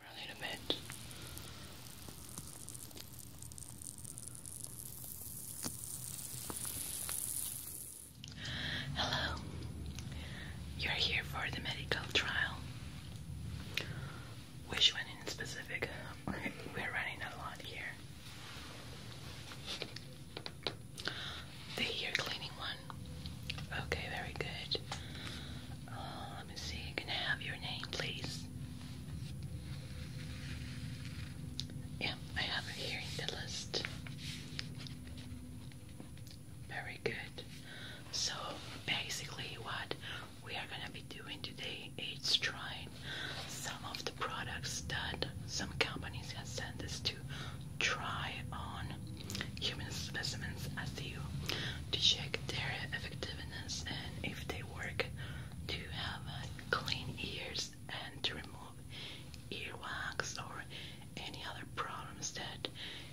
Probably Hello. You're here for the medical trial. Which one in specific? We're running a lot here. The ear cleaning one. Okay, very good. Uh, let me see. Can I have your name, please? Yeah, I have it here in the list. Very good. So basically, what we are gonna be doing today is trying some of the products that some companies have sent us to try on human specimens as you to check their effectiveness and if they work to have clean ears and to remove earwax or any other problems that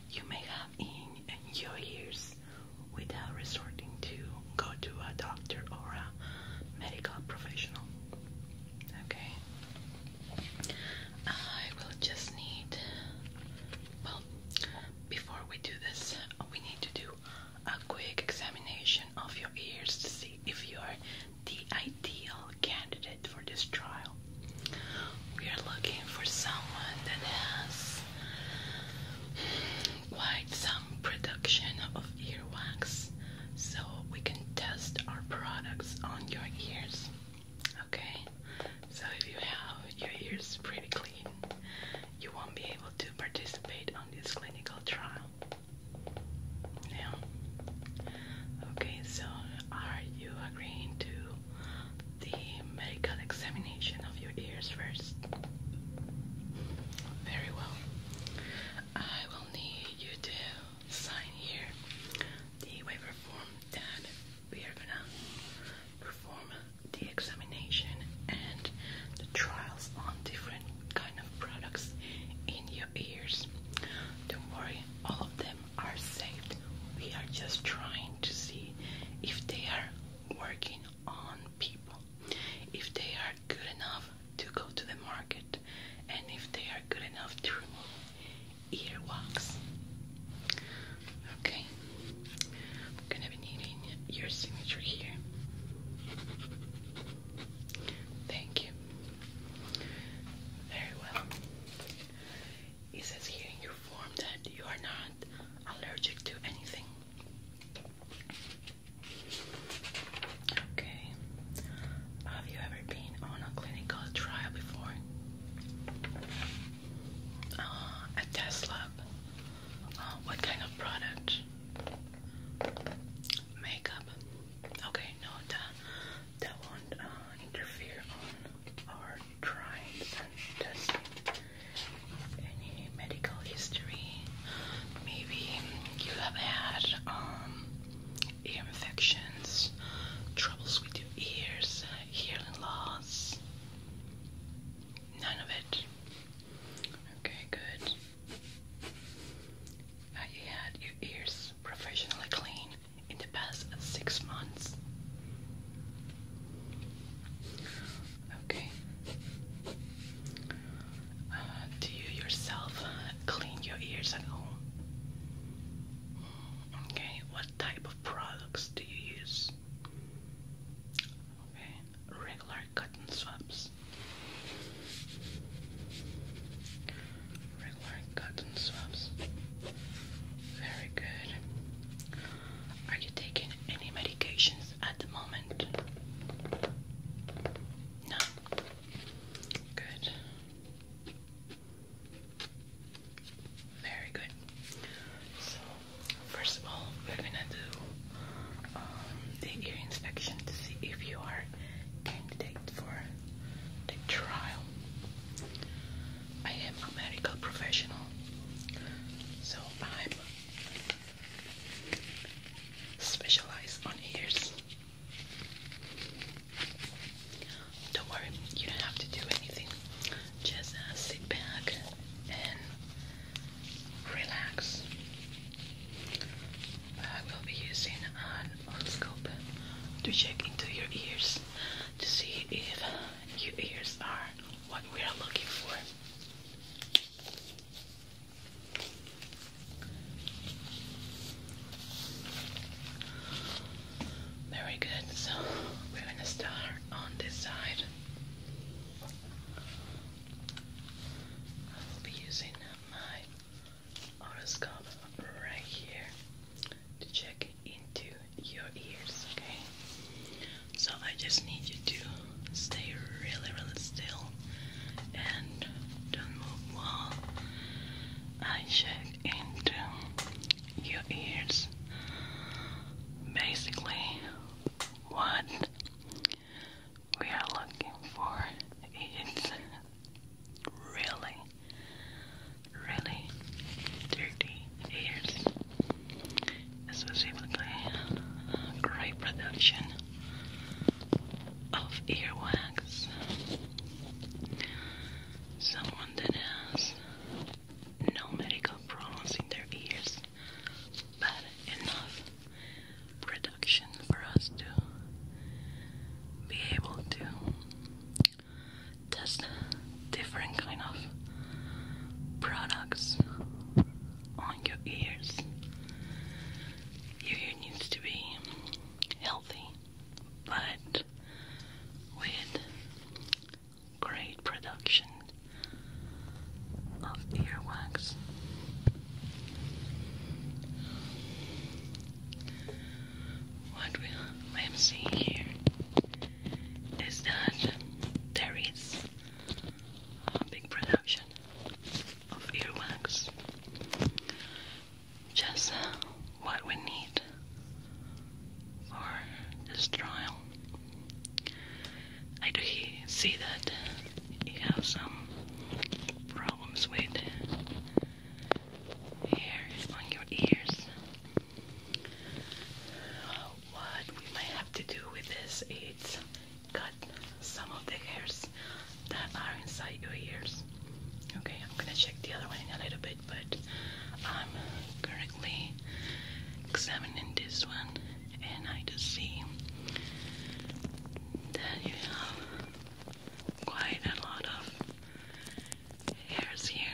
you may have in your ears without resorting to go to a doctor or a medical professional. Okay. I will just need before we do this, uh, we need to do a quick examination of your ears to see if you are the ideal candidate for this trial. We are looking for someone that has quite some production of earwax so we can test our products on your ears. Okay, so if you have your ears pretty clean, you won't be able to participate on this clinical trial. Now, okay, so are you agreeing to the medical examination of your ears first? Very well. I will need you to sign here the waiver form that we are gonna perform the examination and the trials on different kind of products in your ears. Don't worry, all of them are safe. We are just trying to see if they are working on people, if they are good enough to go to the market, and if they are good enough to remove earwax. Okay, gonna be needing your signature here. Thank you. Very well. It says here in your form that you are not allergic to anything. Okay. Have you ever been on a clinical trial before? Uh, a test what kind of product? Makeup. Okay, no, that, that won't uh, interfere on our trials and testing. Any medical history? Maybe you have had ear um, infections, troubles with your ears, hearing loss. None of it. Okay, good. Have you had your ears professionally clean in the past six months? Okay. Uh, do you yourself clean your ears at home? Mm, okay, what type of products do you use? Okay regular cotton swabs. Regular cotton swabs. Very good. Are you taking any medications at the moment? No. Good. Very good. So first of all, we're gonna do um, the ear inspection to see if you are candidate for the trial. I am a medical professional, so I'm specialized on ears. Don't worry, you don't have to do anything. Just uh, sit back and relax. I will be using an oscope to check into your ears to see if your ears are what we are looking for. Very good. So we're going to start on this side. I will be using my horoscope right here to check into your ears, okay? So I just need you to stay really, really still and don't move while I check into your ears. Basically, what we are looking for is really, really dirty ears. Specifically, gray production of earwax. Someone that has no medical problems in their ears, but enough production for us to be able to test different kind of products on your ears. Your ear needs to be healthy, but with great production of earwax. What we I seeing here is that there is a big production of earwax. Just what we need for this trial. I do see that you have some problems with hair on your ears. What we might have to do with this is cut some of the hairs that are inside your ears. Okay, I'm gonna check the other one in a little bit, but I'm currently examining this one and I just see that you have quite a lot of hairs here.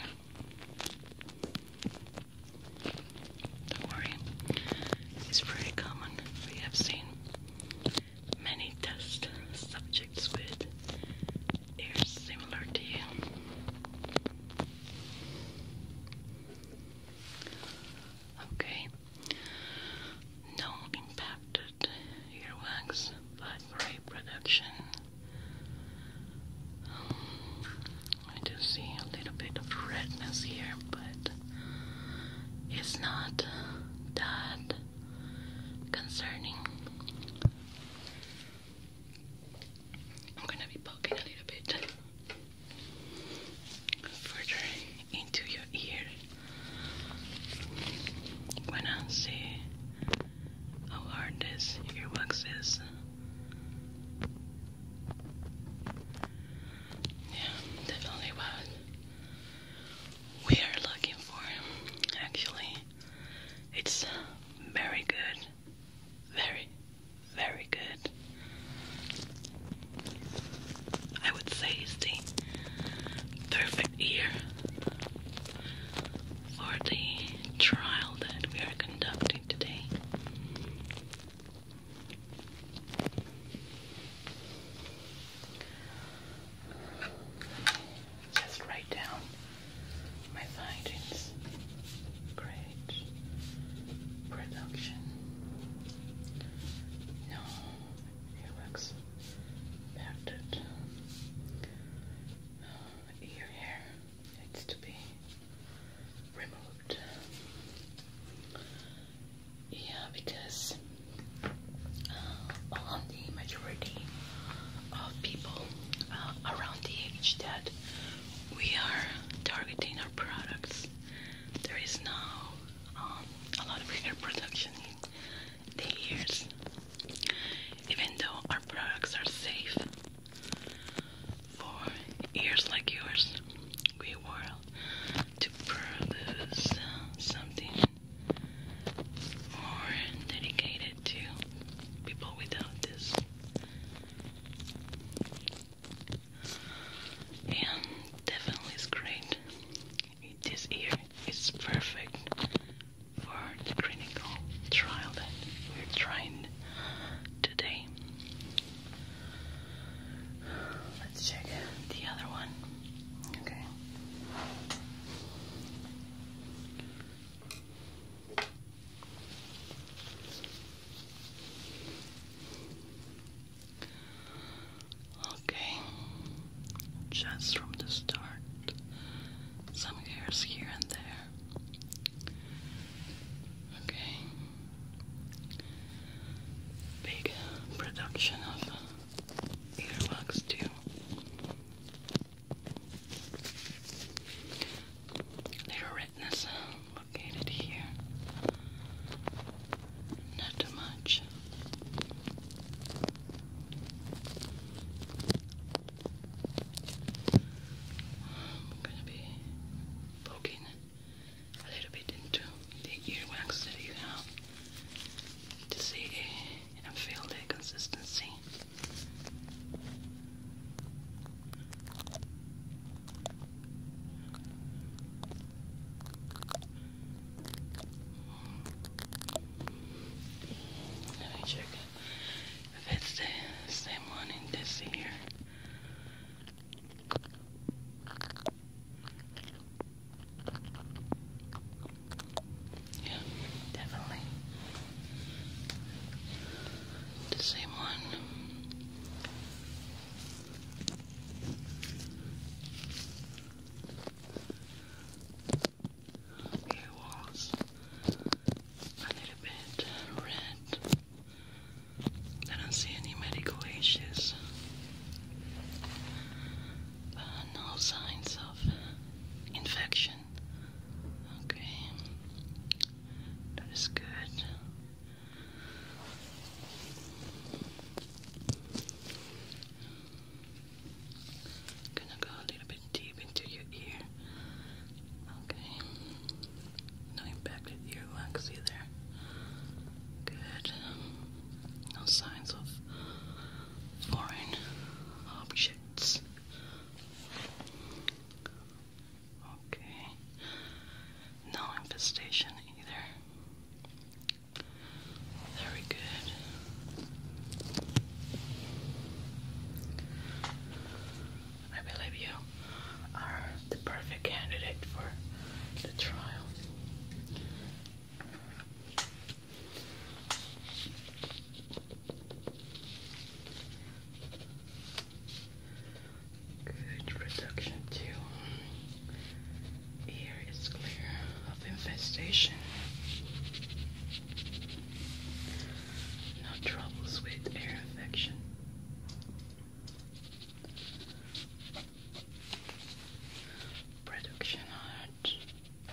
Don't worry, it's very common. We have seen many test subjects with ears similar to you. Okay, no impacted earwax blackberry production. Um, I do see a little bit of redness here, but it's not that concerning. I'm gonna be poking a little bit further into your ear when I see how hard this earwax is. Yeah, definitely what we are looking for. Actually, it's very good. Very, very good. I would say is the perfect year for the trial that we are conducting today. Just write down my findings. Great production no, earwax impacted. Uh, ear hair needs to be removed. Yeah, because uh, on the majority of people uh, around the age that we are targeting our products, there is no. Um, a lot of hair production the ears. Even though our products are safe for ears like yours, we were to produce something more dedicated to people without this and definitely it's great. This ear is perfect for the clinical trial that we're trying today. Let's check the other one. Okay. Okay, just from the start, some hairs here and there. Okay, big production of earwax, too. Little redness located here. Not too much. I'm gonna be poking a little bit into the earwax that you have to see and feel the consistency. Let me check if it's the same one in this here. Yeah, definitely. The same one. It was a little bit red. I don't see any medical issues. Uh, no signs of infection. Okay, that is good gonna go a little bit deep into your ear. Okay. No impacted earwax either. Good. No signs of foreign objects. Okay. No infestation either. Very good. I believe you are the perfect candidate for the trial. Good reduction too. Here is clear of infestation. No troubles with air infection. Production at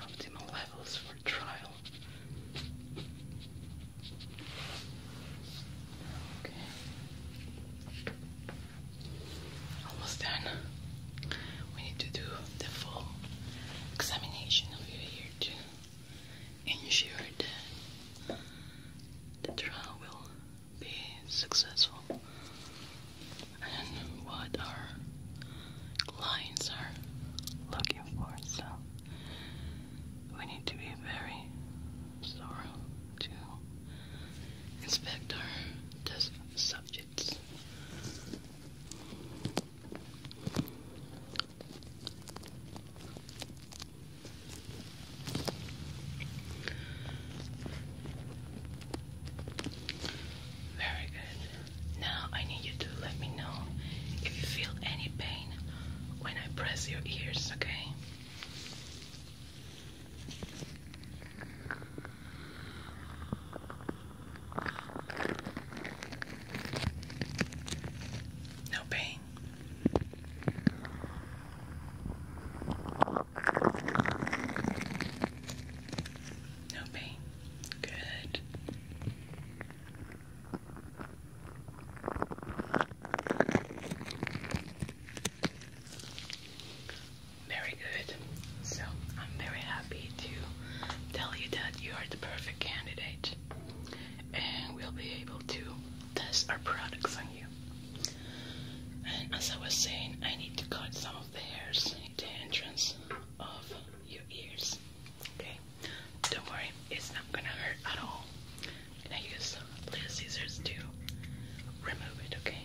optimal levels for trial. Almost done. We need to do the full examination of you here to ensure that the trial will be successful and what our clients are looking for. So we need to be very thorough to inspect our subject digits. Very good. Now I need you to let me know if you feel any pain when I press your ears, okay? No pain. No pain. Good. Very good. So I'm very happy to tell you that you are the perfect candidate and we'll be able to test our products on you. And as I was saying, I need to cut some of the hairs in the entrance of your ears. Okay? Don't worry, it's not gonna hurt at all. And I use little scissors to remove it, okay?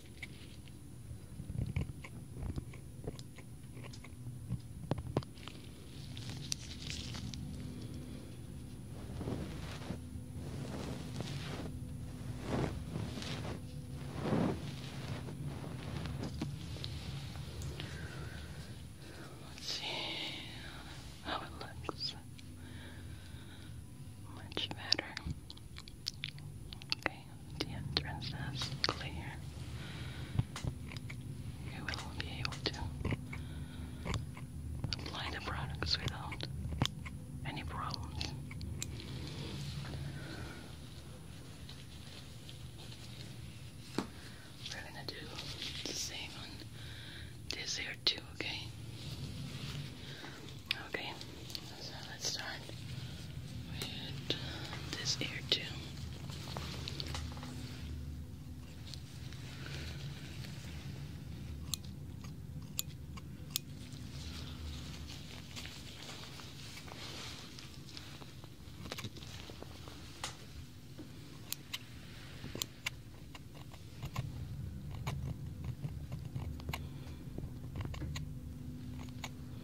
Let's see how it looks. Much better the entrance clear. You will be able to apply the products without any problems. We're gonna do the same on this here too, okay? Okay, so let's start with this ear too.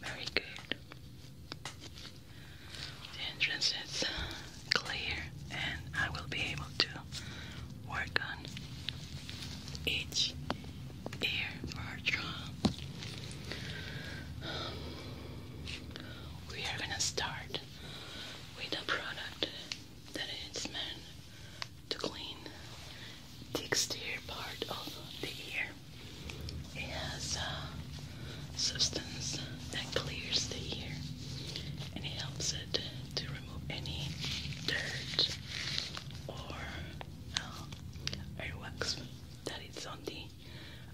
Very good. The entrance is clear, and I will be able to work on each ear for we are gonna start with a product that it's meant to clean the exterior part of the ear. It has a uh, substance that clears the ear and it helps it to remove any dirt or uh, earwax that is on the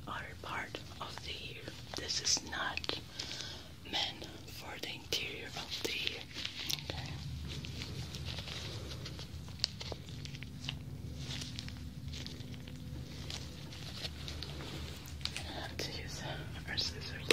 outer part of the ear. This is not men for the interior of the Okay. And I have to use our scissors.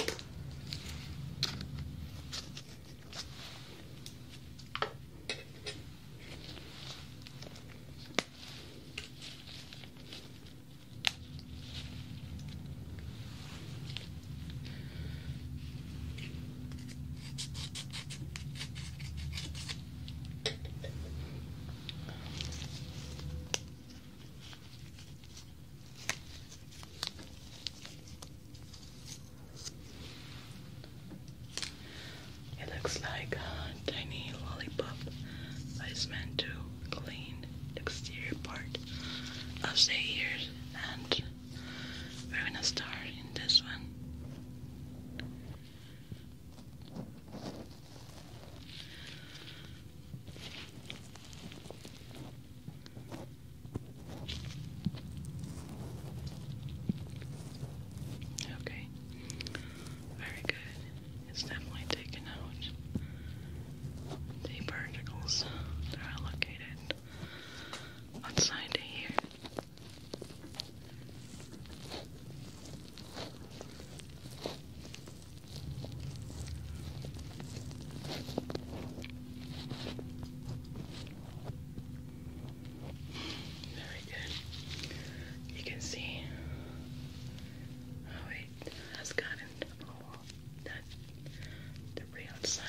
It looks like a tiny lollipop, but it's to clean exterior part of the ears and we're gonna start in this one Okay, very good. It's definitely taken out the particles are located outside here. Very good. You can see how oh, it has gotten. Oh, that the real side.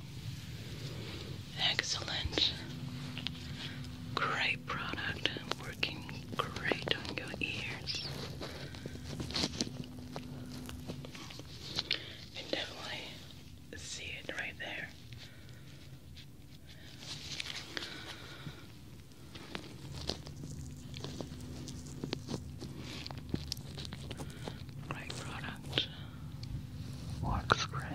Excellent. Great product. Working great on your ears. You definitely see it right there. Great product. Works great.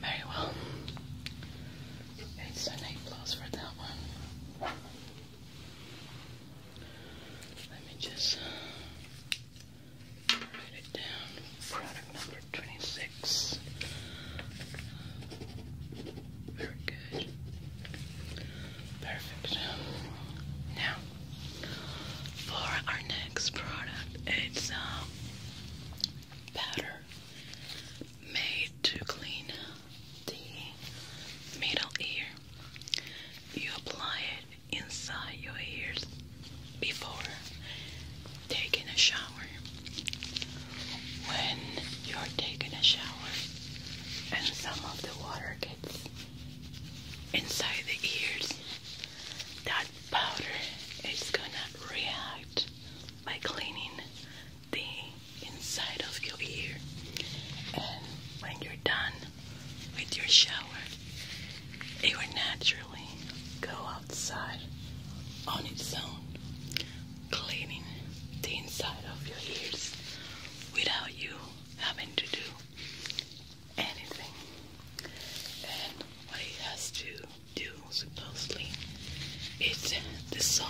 Very well. It's an A plus for that one. Let me just uh, write it down. Product number 26. Very good. Perfect. Now, for our next product, it's a uh, um, powder made to clean the middle ear. You apply it inside your ears before taking a shower. When you're taking a shower and some of the water gets inside the ears, that powder is gonna react by cleaning the inside of your ear. And when you're done with your shower, it will naturally go outside on its own, cleaning the inside of your ears without you having to do anything. And what it has to do, supposedly, it's the song,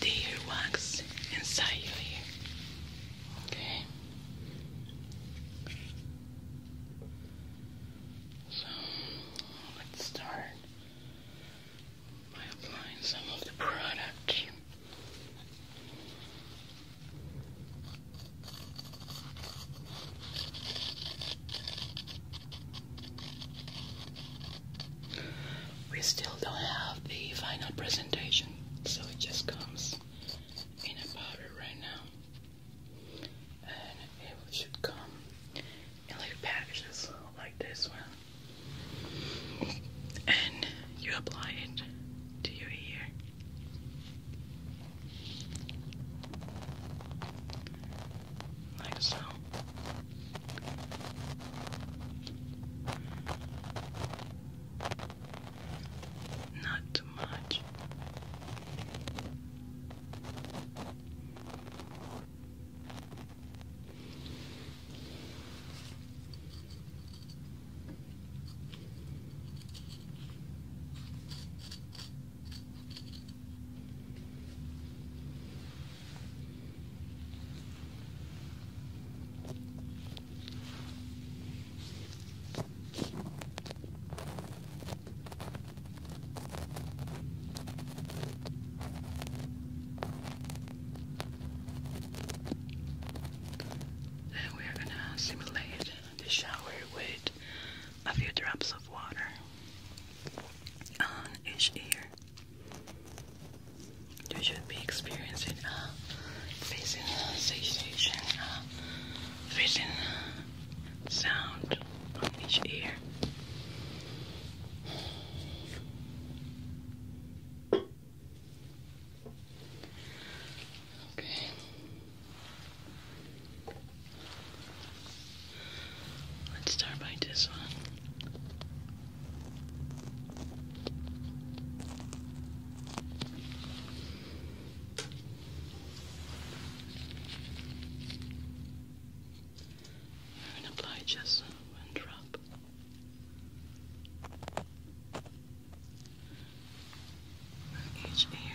the earwax inside your ear. Okay. So let's start by applying some of the product. We still don't have the final presentation, so it just comes in a powder right now. And it should come in little packages like this one. And you apply it to your ear. Like so. Not too much. Now we are going to simulate the shower with a few drops of water on each ear. You should be experiencing uh, a sensation, uh, facing sound on each ear. Okay. Let's start by this one. I'm apply just one drop. each ear.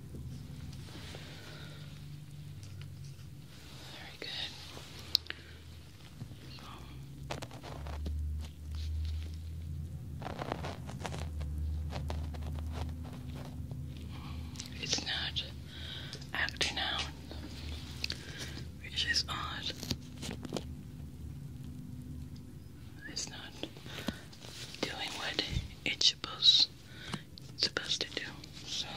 Very good. So. It's not acting out, which is odd. It's not doing what it's supposed supposed to do. So,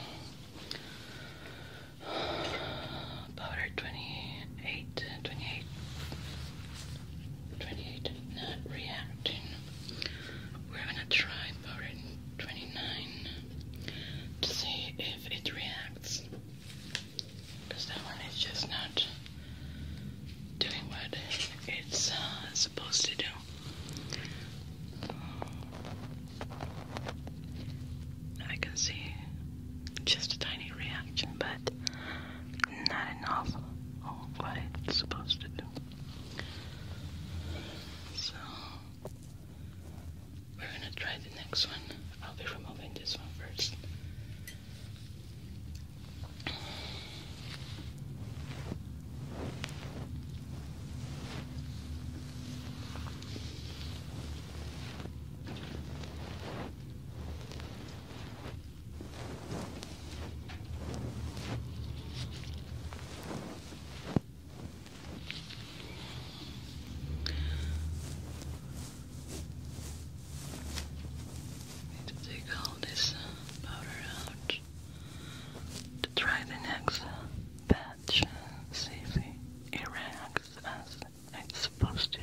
powder 28, 28, 28 not reacting. We're gonna try powder 29 to see if it reacts. Because that one is just not doing what it's uh, supposed to do. I can see just a tiny reaction, but not enough of what it's supposed to do. So, we're gonna try the next one. I'll be removing this one first. I need to take all this powder out try the next batch see if it reacts as it's supposed to.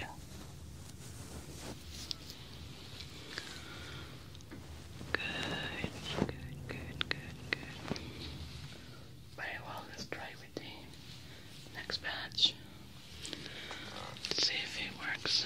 Good, good, good, good, good. Very well, let's try with the next batch. see if it works.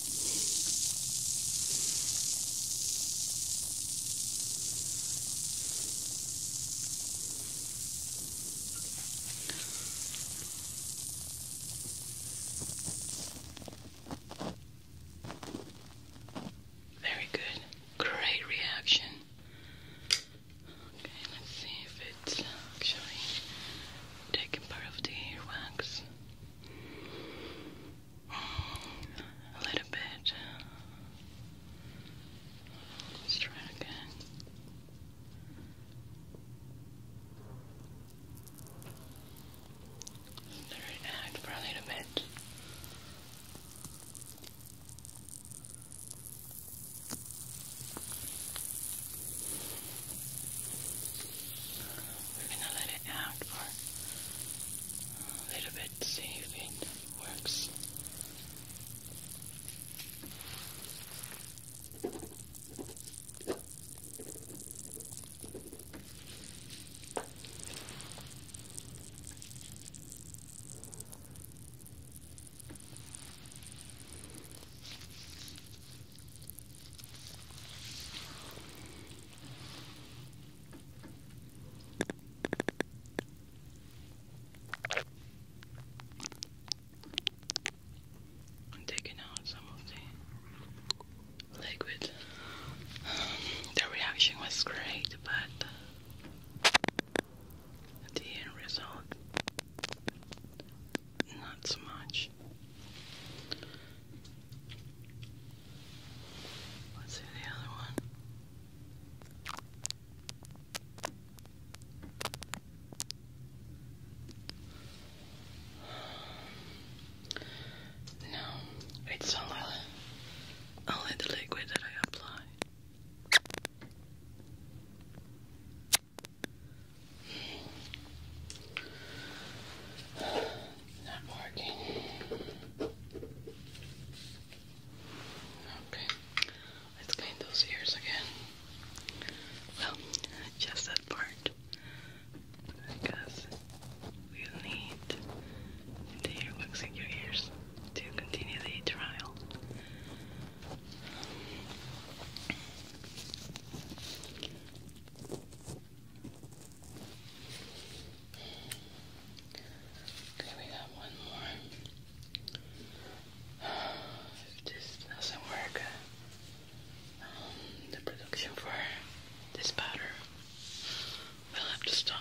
Very good. Great reaction. Okay, let's see if it's actually taking part of the earwax a little bit. Let's try again. Let it act for a little bit. We're going to let it out for a little bit, see if it works. I'm taking out some of the liquid. the reaction was great, but the end result not so much. Let's see the other one. No, it's only, only the liquid that I apply. Not working. Okay, let's clean those ears again. Well, just that part. Because we'll need the earwax in your ears to continue the trial. Okay, we got one more. If this doesn't work, um, the production for this powder will have to stop.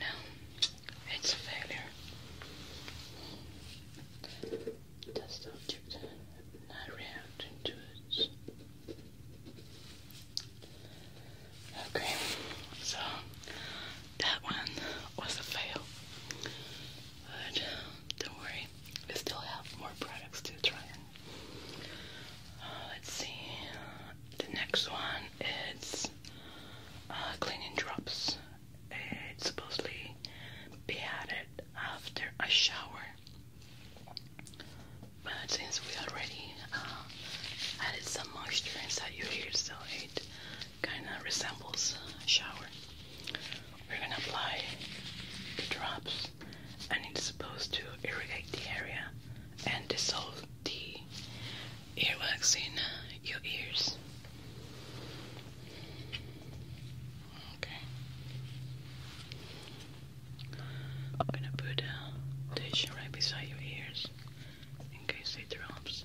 No, it's a failure. Does object not reacting to it? Okay, so that one was a fail. But don't worry, we still have more products to try. Uh, let's see. The next one is uh, cleaning drops. It's supposedly be added after a shower, but since we already uh, added some moisture inside your hair, so it kind of resembles shower. We're gonna apply the drops, and it's supposed to irrigate the area and dissolve the earwaxing uh, your ears. Okay. I'm gonna put a uh, dish right beside your ears in case it drops.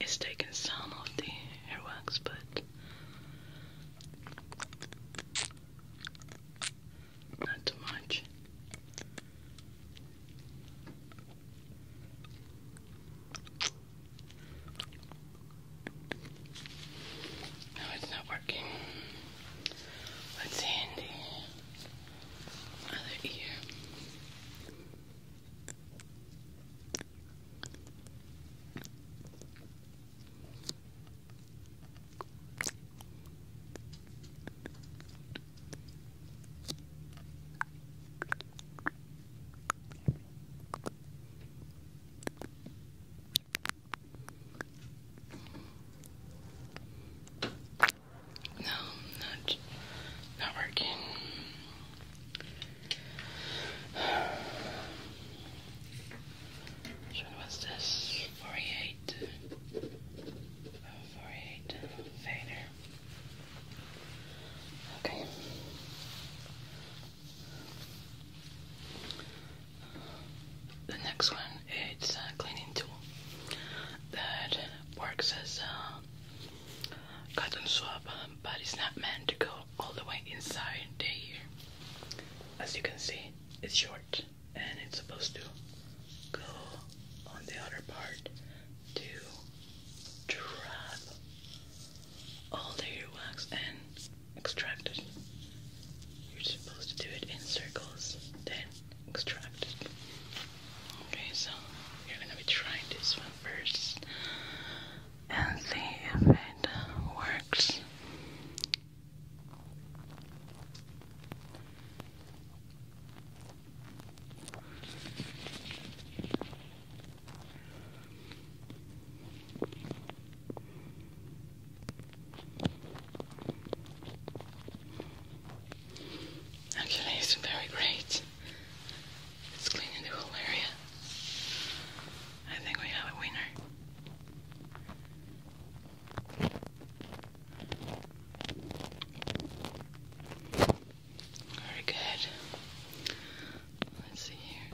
It's taking some of the hair wax, but not too much. No, it's not working. Let's see the other ear. No, not not working. So what's this? 48. Vader. Okay. The next one is a cleaning tool that works as a cotton swab but it's not meant to go all the way inside the ear. As you can see, it's short and it's supposed to go on the other part to trap all the earwax and extract it. You're supposed to do it in circles, then extract it. Okay, so you're gonna be trying this one first and see if it works. Okay, it's very great. It's cleaning the whole area. I think we have a winner. Very good. Let's see here.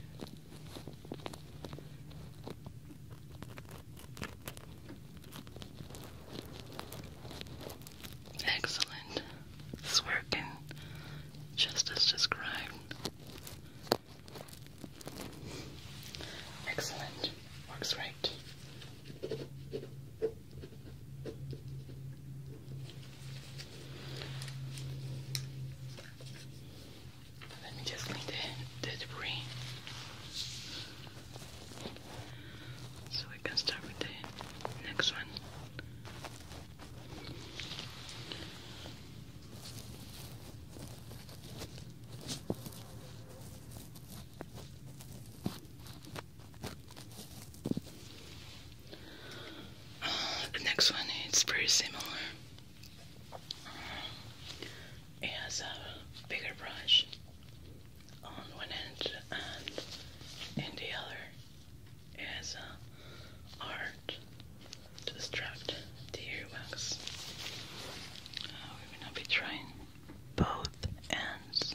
Excellent. It's working just as described. Excellent. Works right. Let me just clean the, the debris. So we can start with the next one. The next one is pretty similar. It has a bigger brush on one end and in the other as a art to extract the earwax. Uh, we will now be trying both ends.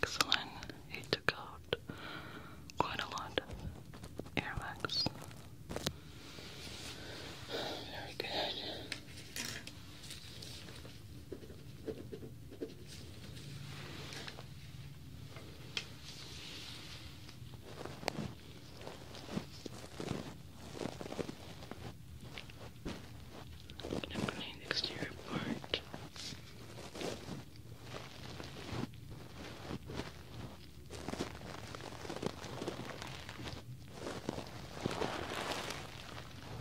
Excellent. He took out quite a lot of airbags. Very good. I'm gonna clean the exterior part.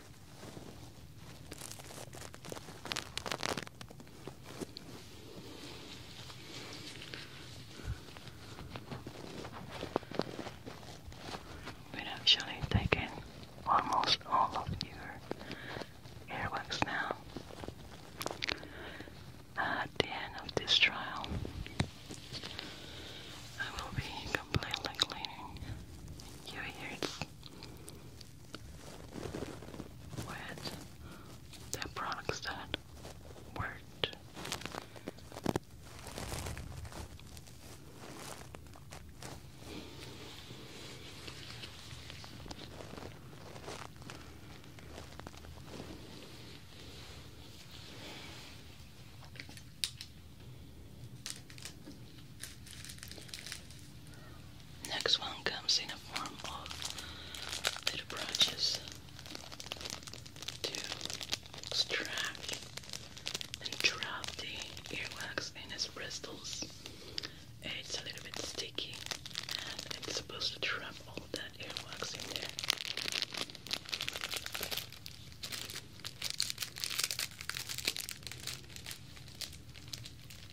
back. We've actually taken almost all of your earwax now. At the end of this trial, I will be completely cleaning your ears with the products that worked. Next one comes in a form of little brushes to extract and trap the earwax in its bristles. It's a little bit sticky and it's supposed to trap all that earwax in there.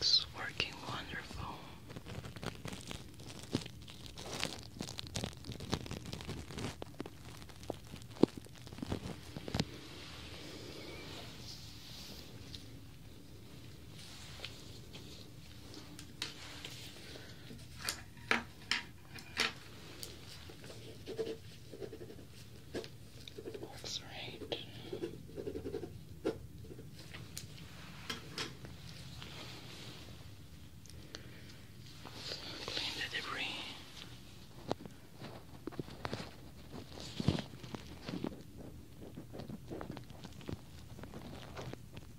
It's working wonderful. Looks right. clean the debris.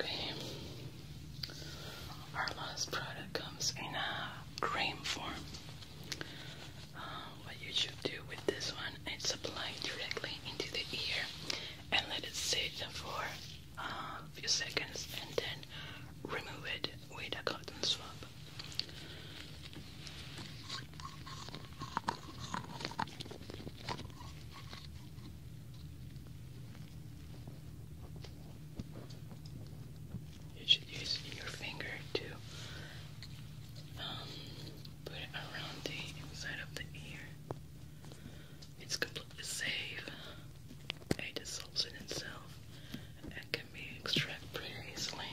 Okay, our last product comes in a cream form. Uh, what you should do with this one is apply it directly into the ear and let it sit for a few seconds and then remove it with a cotton swab. You should use your finger to um, put it around the inside of the ear. It's completely safe it dissolves in itself and can be extracted pretty easily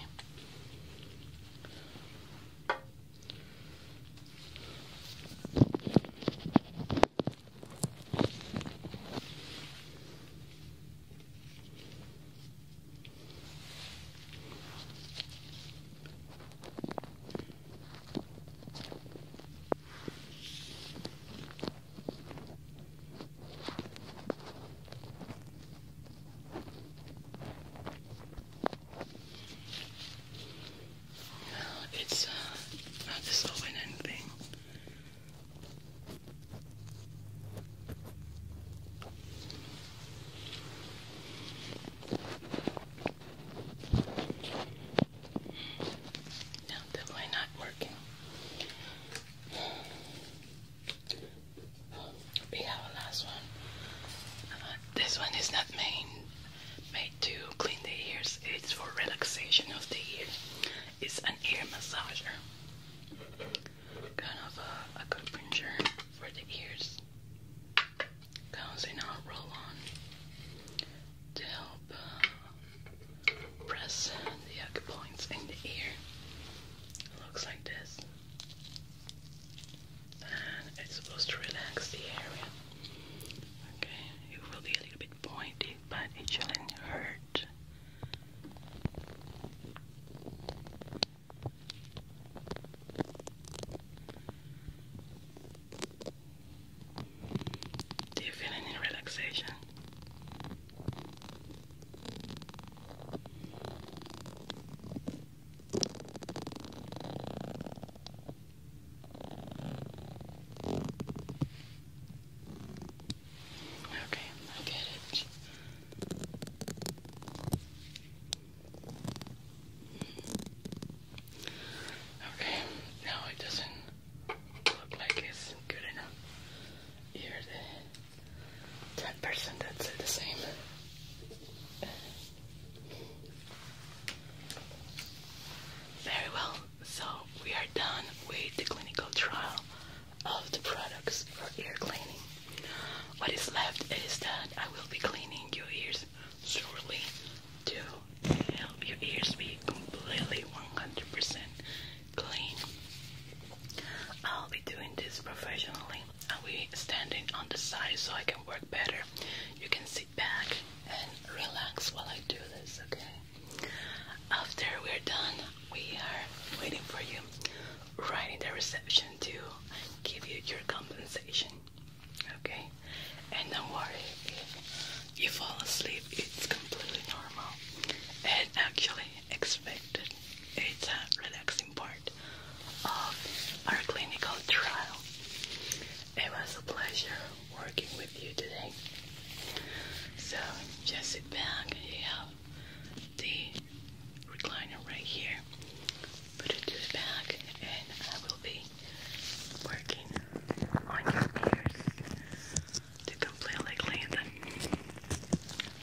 it's uh, not this open thing. definitely not working. We have last one. Uh, this one is not main, made to clean the ears. It's for relaxation of the ears. It's an ear massager. Kind of a, a compringer for the ears. Comes in a roll-on to help uh, press the acupoints in the ear. It looks like this. And it's supposed to relax the area. Okay, it will be a little bit pointy, but it shouldn't hurt. Do you feel any relaxation? Okay, I get it. Okay, now it doesn't look like it's good enough. Here the ten percent that's the same. Very well, so we are done with the clinical trial of the products for ear cleaning. What is left is that I will be cleaning your ears shortly to help your ears be completely 100% clean. I'll be doing this professionally. I'll be standing on the side so I can work better. You can sit back and relax while I do this, okay? After we're done, we are waiting for you right in the reception to give you your compensation, okay? And don't worry you fall asleep, it's completely normal. And actually, expected. It's a relaxing part of our clinical trial. It was a pleasure working with you today. So just sit back. You have the recliner right here. Put it to the back, and I will be working on your ears to completely clean them.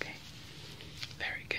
Okay, very good.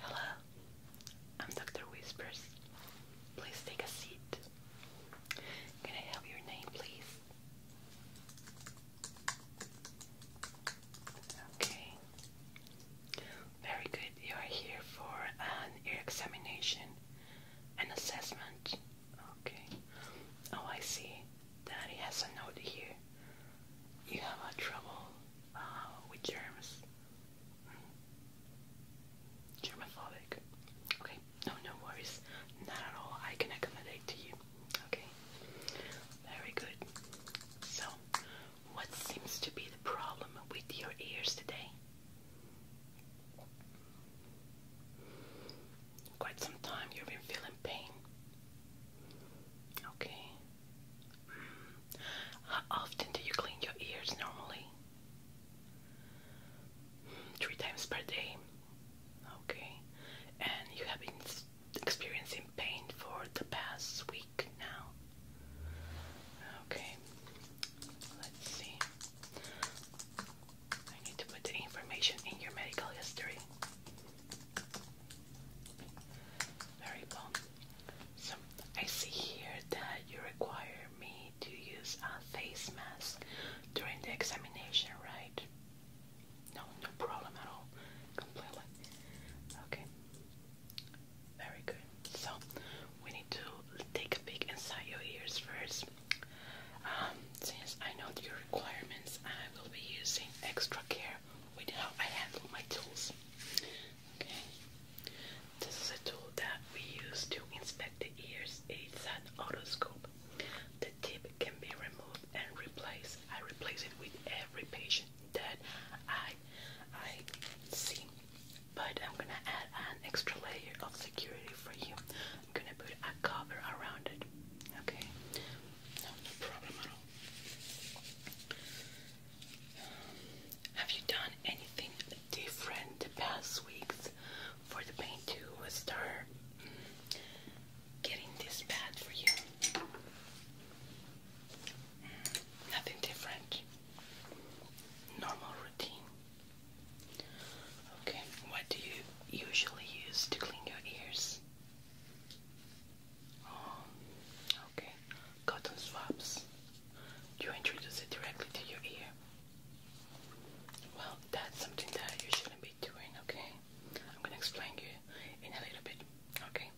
Hello, I'm Dr. Whispers. Please take a seat. Can I have your name, please? Okay. Very good. You are here for an ear examination and assessment. Okay. Oh, I see. Daddy has a note here you have a trouble uh, with germs. Mm. Okay, no, no worries. Not at all. I can accommodate to you. Okay, very good. So, what seems to be the problem with your ears today? Quite some time you've been feeling pain. Okay. Hmm. How often do you clean your ears normally? Three times per day. Okay. And you have been experiencing pain for the past week now. Okay. Let's see. I need to put the information in your medical history. Very well. So I see here that you require me to use a face mask during the examination, right? No, no problem at all. Completely. Okay. Very good. So we need to take a peek inside your ears first. Um, since I know your requirements, I will be using extra care with how I handle my tools. This is a tool that we use to inspect the ears. It's an otoscope. The tip can be removed and replaced. I replace it with every patient that I I see. But I'm gonna add an extra layer of security for you. I'm gonna put a cover around it. Okay? no problem at all. Have you done anything different the past weeks for the pain to start getting this bad for you? Nothing different. Normal routine. Okay, what do you usually use to clean your ears? Oh, Okay, cotton swabs. You introduce it directly to your ear. Well, that's something that you shouldn't be doing, okay? I'm gonna explain you in a little bit, okay?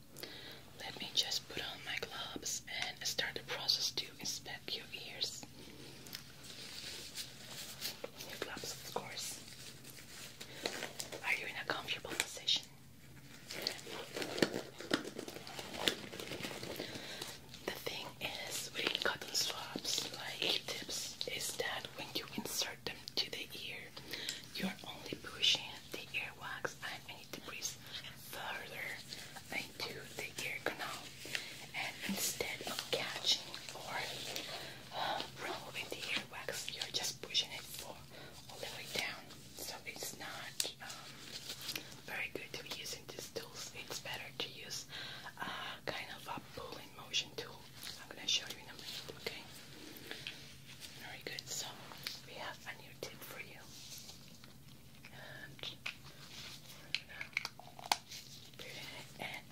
Let me just put on my gloves and start the process to inspect your ears. gloves, of course. Are you in a comfortable position? The thing is with cotton swabs like tips is that when you insert them to the ear, you're only pushing the earwax and any debris further into the ear canal. And instead of catching or uh, removing the earwax, you're just pushing it all, all the way down so it's not um, very good to be using this tool. It's better to use uh, kind of a pulling motion tool. I'm gonna show you in a minute, okay? Very good. So we have a new tip for you, and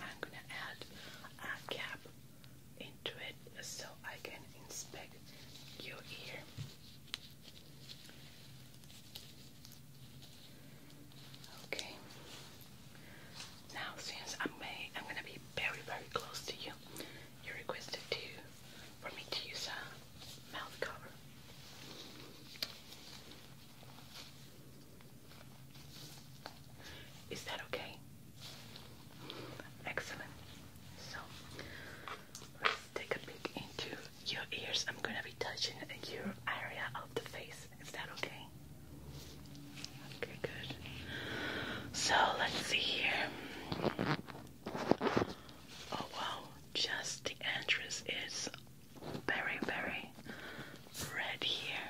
I'm gonna add a cap into it so I can inspect your ear. Okay. Now, since I'm I'm gonna be very, very close to you. You requested to for me to use a mouth cover. Is that okay? Excellent. So Let's take a peek into your ears. I'm gonna be touching your area of the face. Is that okay? Okay, good. So let's see here. Oh wow, just the entrance is very, very red here.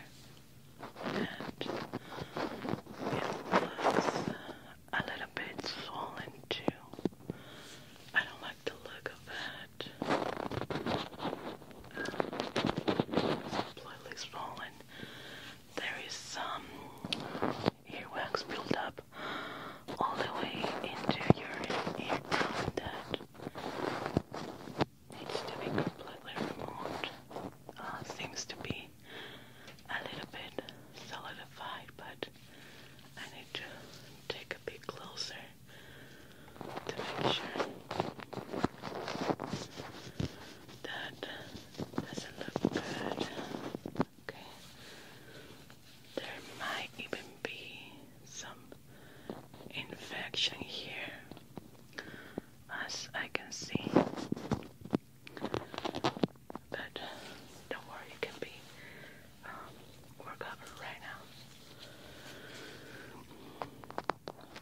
And it looks a little bit swollen too. I don't like the look of that. completely um, swollen. There is some earwax buildup all the way into your ear canal that needs to be completely removed. Uh, seems to be a little bit solidified, but I need to take a bit closer to make sure that doesn't look good. Okay. There might even be some infection here, as I can see. But don't worry, it can be um, right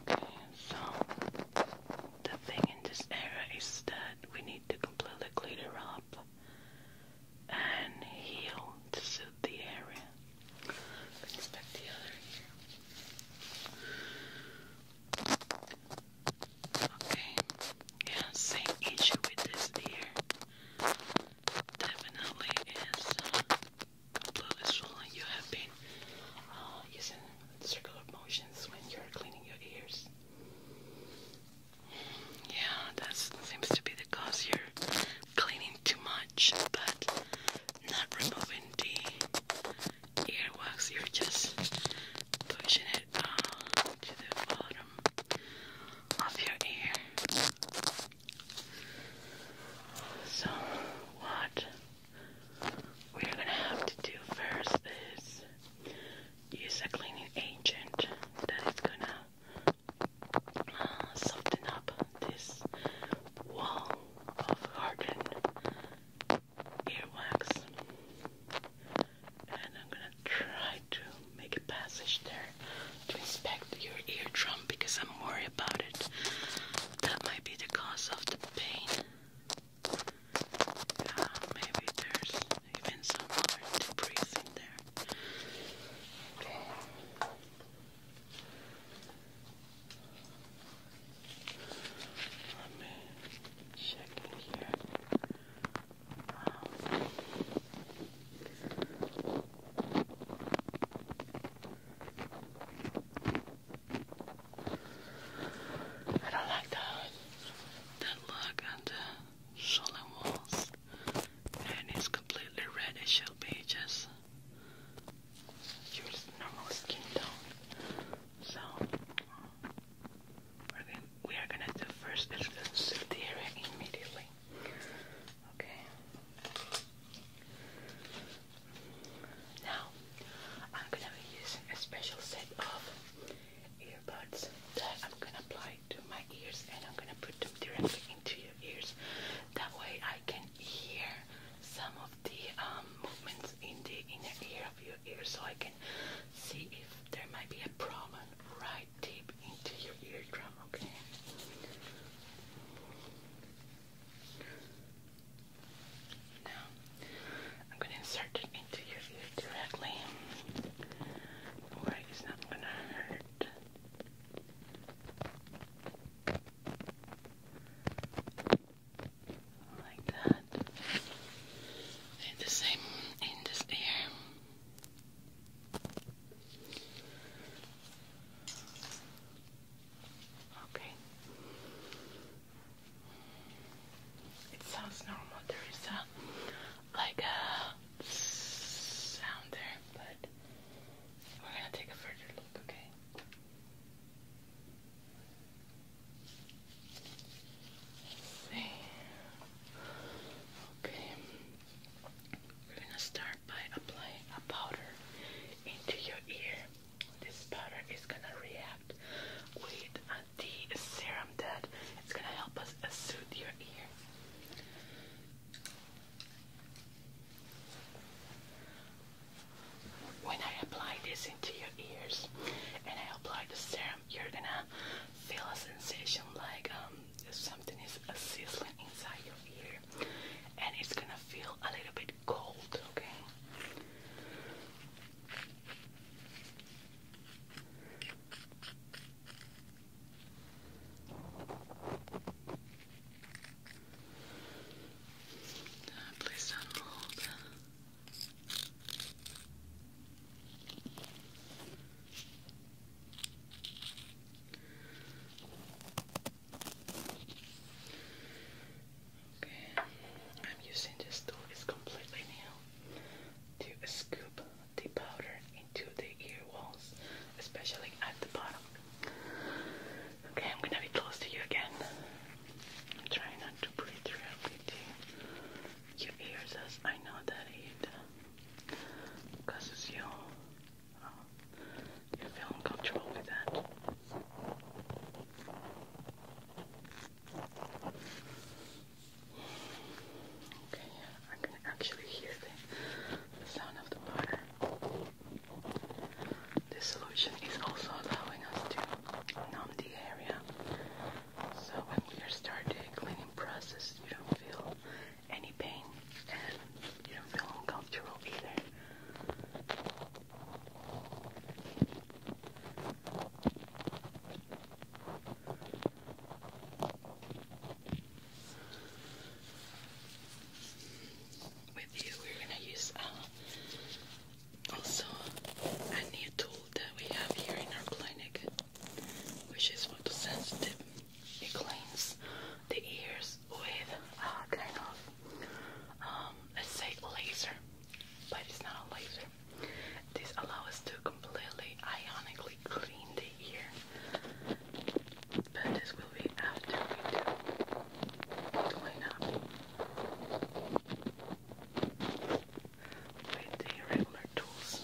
now. Okay, so the thing in this area is that we need to completely clear it up and heal to suit the area. Let's back the other here. Okay. Yeah, same issue with this ear definitely is um, blood You have been uh, using circular motions when you're cleaning your ears. Yeah, that seems to be the cause. You're cleaning too much, but not removing the earwax. You're just pushing it uh, to the bottom of your ear. So, what we're gonna have to do first is use a cleaning agent that is gonna uh, soften up this wall of hardened earwax. And I'm gonna to try to make a passage there to inspect your eardrum because I'm worried about it. That might be the cause of the pain. maybe there's even some other debris in there. Okay. Wow. I don't like that that look on the solid walls. And it's completely red. It should be just your normal skin tone. So we're gonna, we are gonna do the area immediately. Okay. Now, I'm gonna be using a special set of earbuds that I'm gonna apply to my ears and I'm gonna put them directly into your ears. That way I can hear some of the um, movements in the inner ear of your ear so I can see if there might be a problem, right? deep into your eardrum, okay? Now, I'm going to insert it into your ear directly it's not going to hurt. Like that. And the same in this ear. Okay. It sounds normal. There is like a sound there, but we're gonna take a further look. Okay. see. Okay. We're gonna start by applying a powder into your ear. This powder is gonna react with the serum that it's gonna help us uh, soothe your ear. When I apply this into your ears and I apply the serum, you're gonna feel a sensation like um, something is uh, sizzling inside your ear and it's gonna feel a little bit cold, okay? Uh, please do Okay, I'm using this tool, it's completely new, to scoop the powder into the ear walls, especially at the bottom. Okay, I'm gonna be close to you again. I'm trying not to breathe directly to your ears as I know that it causes you um, you feel uncomfortable with that. Okay, I can actually hear the, sound of the water. This solution is also allowing us to numb the area. So when we are starting the cleaning process, you don't feel any pain, and you don't feel uncomfortable either. With you, we're gonna use uh, also a new that we have here in our clinic, which is photosensitive. It cleans the ears with uh, kind of, let's say laser, but it's not a laser. This allows us to completely ionically clean the ear, but this will be after we do clean up with the regular tools.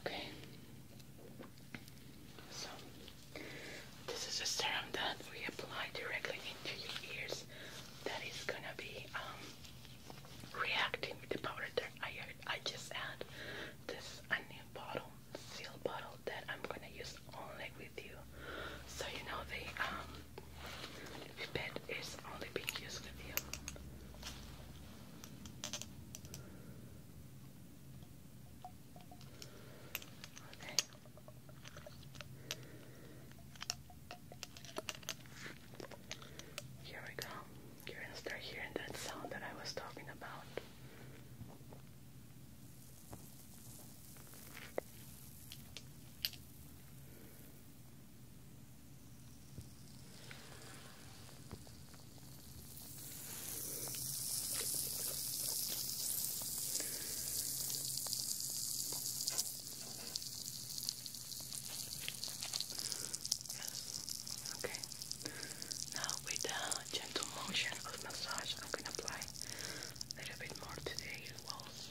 Okay. So this is a serum that we apply directly into your ears that is gonna be um, reacting with the powder that I just add. This new bottle, seal bottle that I'm gonna use only with you. So you know the um it's only being used with you. Okay. Here we go. You're gonna start hearing that sound that I was talking about. Yes. Okay. Now with a gentle motion of massage, I'm apply a little bit more to the walls.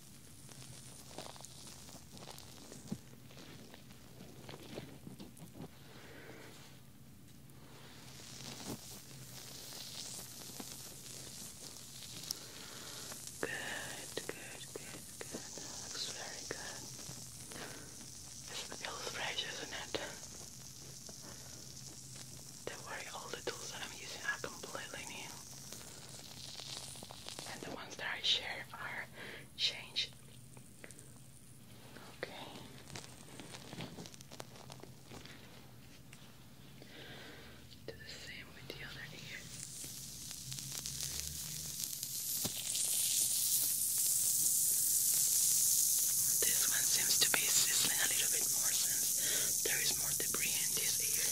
Good, good, good, good. looks very good. It feels fresh, isn't it? Don't worry, all the tools that I'm using are completely new and the ones that I share are changed. Okay. Do the same with the other ear. This one seems to be sizzling a little bit more since there is more debris in this ear.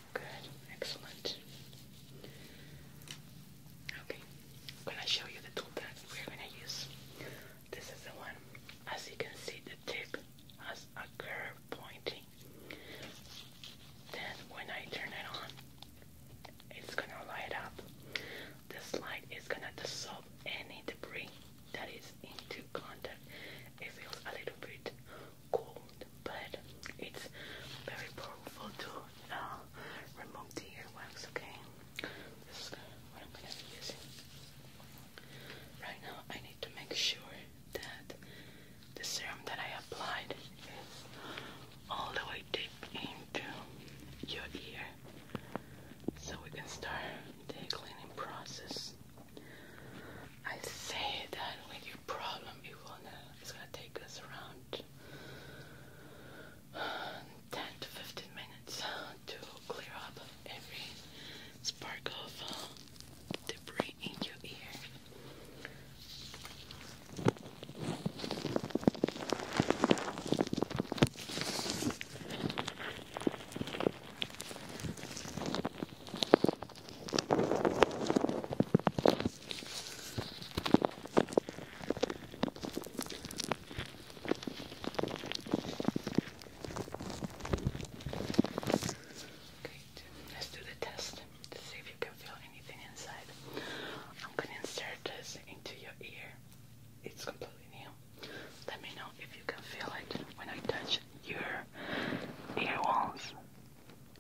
Good, excellent. Okay, i show you the tool that we're gonna use. This is the one. As you can see, the tip has a curve pointing. Then when I turn it on, it's gonna light up. This light is gonna dissolve any debris that is into contact. It feels a little bit cold but it's very powerful to uh, remove the earwax, okay? This is what I'm gonna be using. Right now, I need to make sure that the serum that I applied is all the way deep into your ear so we can start the cleaning process. I say that with your problem, Ivona. It's gonna take us around 10 to 15 minutes uh, to clear up every spark of uh, debris in your ear. Great. Let's do the test to see if you can feel anything inside. I'm going to insert this into your ear. It's completely new. Let me know if you can feel it when I touch your ear walls.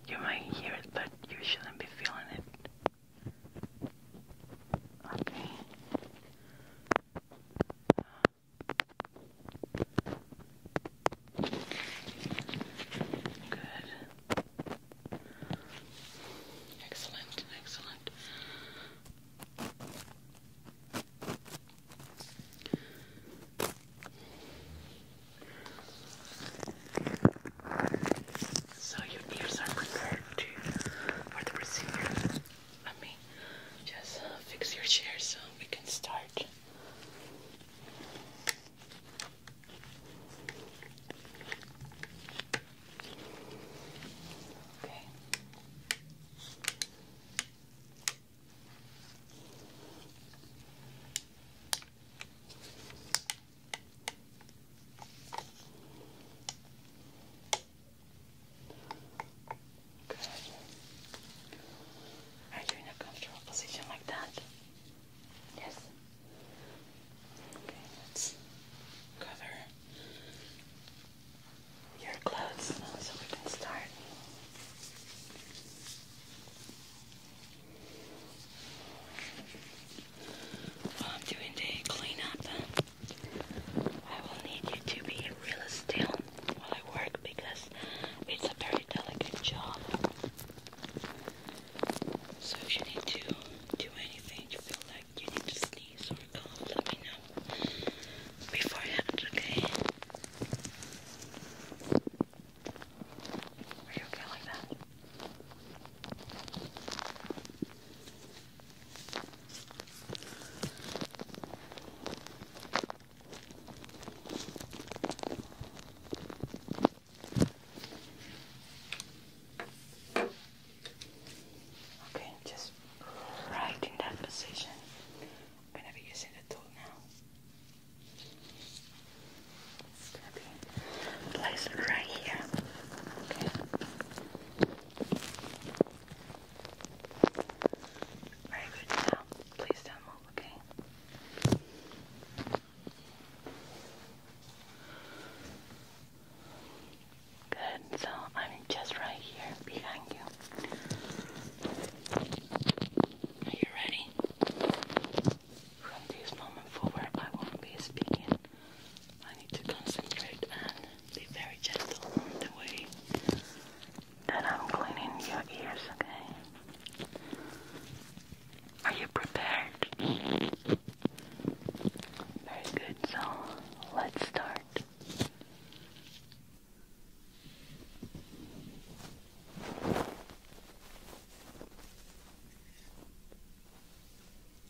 You might hear it, but you shouldn't be feeling it. Okay. Good. Excellent, excellent. So your ears are prepared to for the procedure. Let me just fix your chair so we can start. Okay. Good. Are you in a comfortable position like that? Yes. Okay, let's cover your clothes so we can start while I'm doing the cleanup, I will need you to be really still while I work because it's a very delicate job. So if you need to do anything, you feel like you need to sneeze or cough, let me know beforehand, okay? Are you okay like that? Okay, just right in that position. I'm gonna be using the tool now. Place it right here. Okay. Very good. Now, please do okay? Good. So I'm just right here behind you. Are you ready? From this moment forward, I won't be speaking I need to concentrate and be very gentle on the way that I'm cleaning your ears, okay? Are you prepared? Very good, so let's start.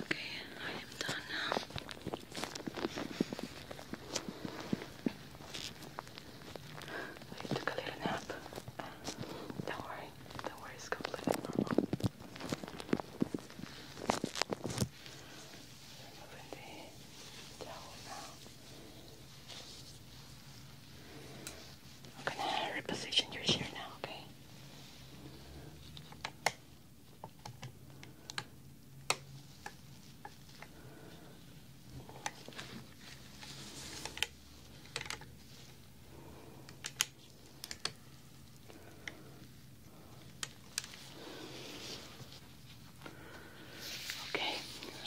Okay, I am done now. I took a little nap. Don't worry, don't worry, it's completely normal. Removing the towel now. I'm gonna reposition your chair now, okay? Okay,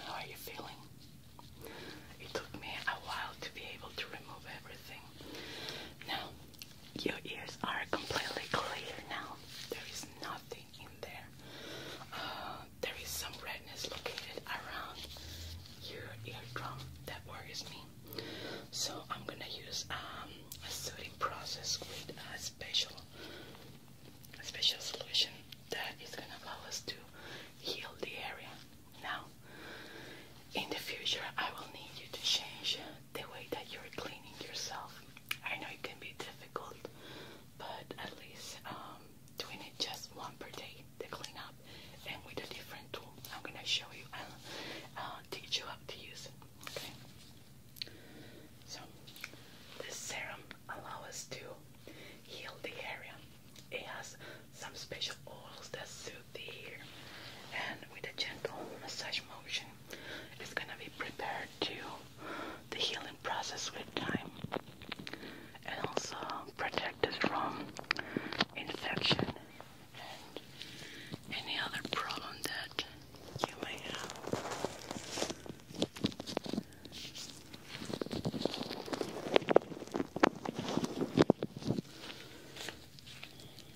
how are you feeling? It took me a while to be able to remove everything. Now, your ears are completely clear now. There is nothing in there. Uh, there is some redness located around your eardrum. That worries me. So I'm gonna use um, a soothing process with a special, special solution that is gonna allow us to heal the area. Now, in the future, I will need you to change the way that you're cleaning yourself. I know it can be difficult, but at least um, doing it just one per day, to clean up, and with a different tool. I'm gonna show you and uh, teach you how to use it. Okay. So this serum allows us to heal the area. It has some special oils that soothe the and with a gentle massage motion it's gonna be prepared to the healing process with time and also protected from infection and any other problem that you may have.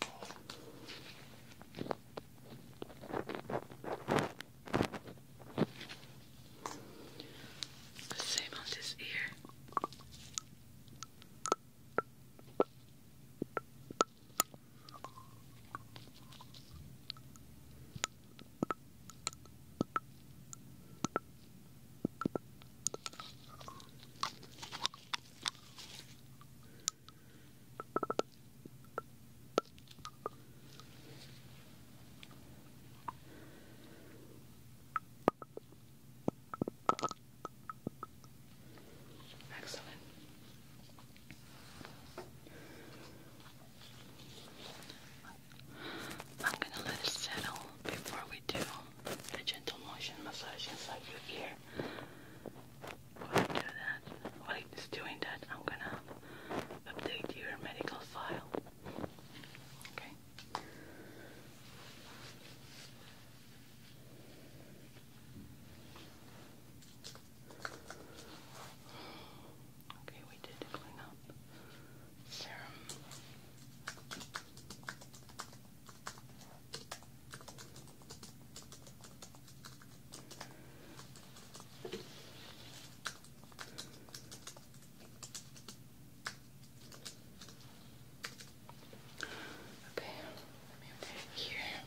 The same on this ear. Excellent. I'm gonna let it settle before do the gentle motion massage inside your ear. While I doing that, I'm gonna update your medical file. Okay. Okay, we did clean up Okay, let me put it here. Okay.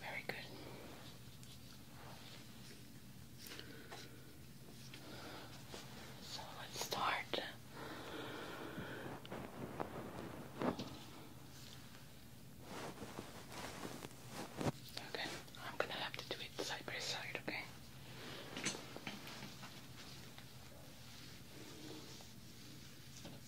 Very good. So let's start. Okay, I'm gonna have to do it side by side, okay?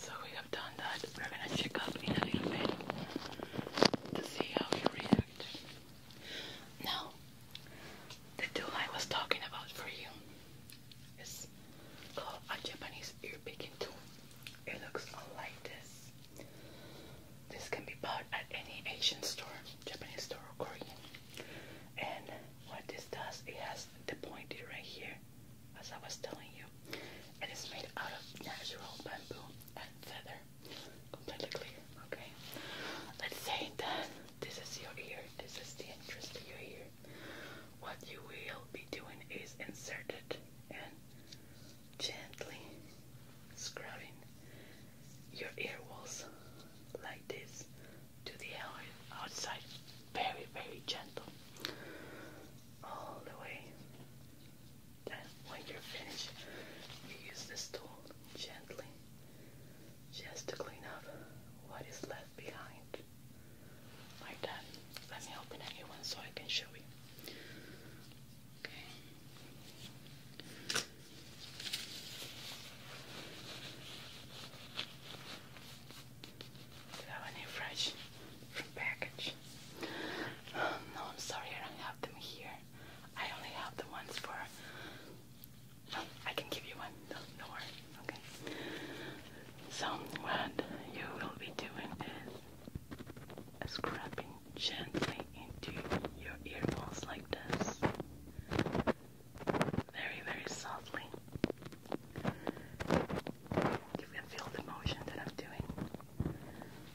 So we have done that. We're going to check up in a bit to see how you react. Now, the tool I was talking about for you is a Japanese ear picking tool. It looks like this. This can be bought at any Asian store, Japanese store or Korean. And what this does, it has the pointy right here, as I was telling you. And it's made out of natural bamboo and feather completely clear. Okay. Let's say that this is your ear. This is the entrance to your ear. What you will be doing is insert it and gently scrubbing your ear walls like this to the outside. Very, very gentle. All the way then when you're finished, you use this tool gently just to clean up what is left behind. Like that. Let me open a new one so I can show you. Okay. Do you have any fresh from package? Um, no, I'm sorry, I don't have them here. I only have the ones for. I can give you one. No, no worry. Okay. So what you will be doing is scrubbing gently into your earballs like this, very very softly. You can feel the motion that I'm doing.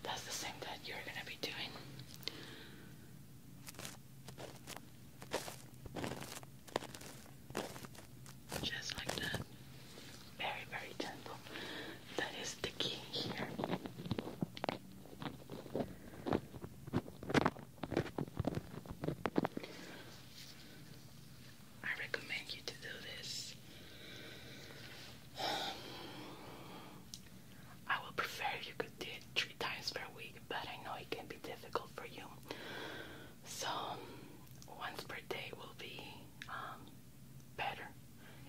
That's the same that you're gonna be doing. Just like that. Very, very gentle. That is the key here. I recommend you to do this I would prefer you could do it three times per week, but I know it can be difficult for you. So once per day will be um, better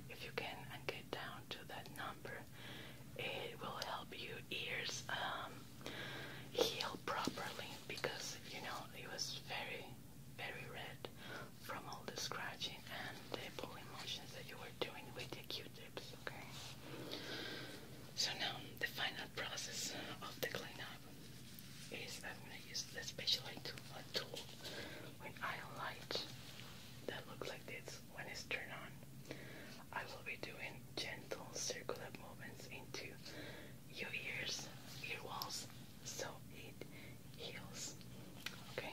if you can get down to that number. It will help your ears um, heal properly because you know it was very, very red from all the scratching and the pulling motions that you were doing with the cute okay? So now the final process of the cleanup is that I'm gonna use especially special light tool with ion light that looks like this when it's turned on. I will be doing gentle circular movements into your ears, ear walls, so it heals. Okay.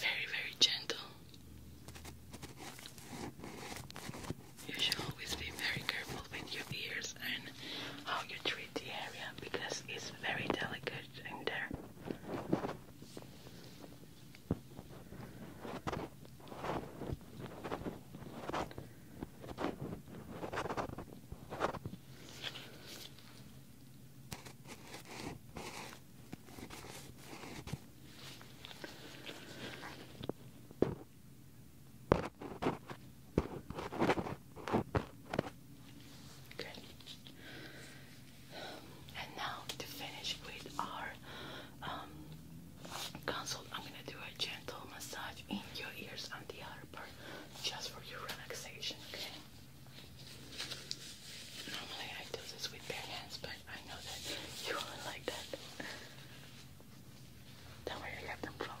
Very, very gentle. You should always be very careful with your ears and how you treat the area because it's very delicate in there. Okay. And now to finish with our um, Consult, I'm gonna do a gentle massage in your ears and the other part just for your relaxation, okay? Normally I do this with bare hands, but I know that you will like that. That way I have no problem.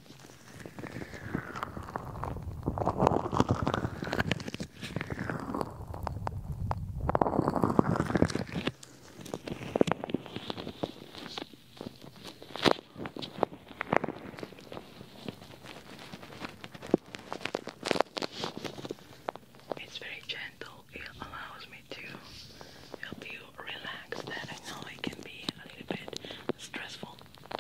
It's very gentle. It allows me to help you relax. I know it can be a little bit stressful.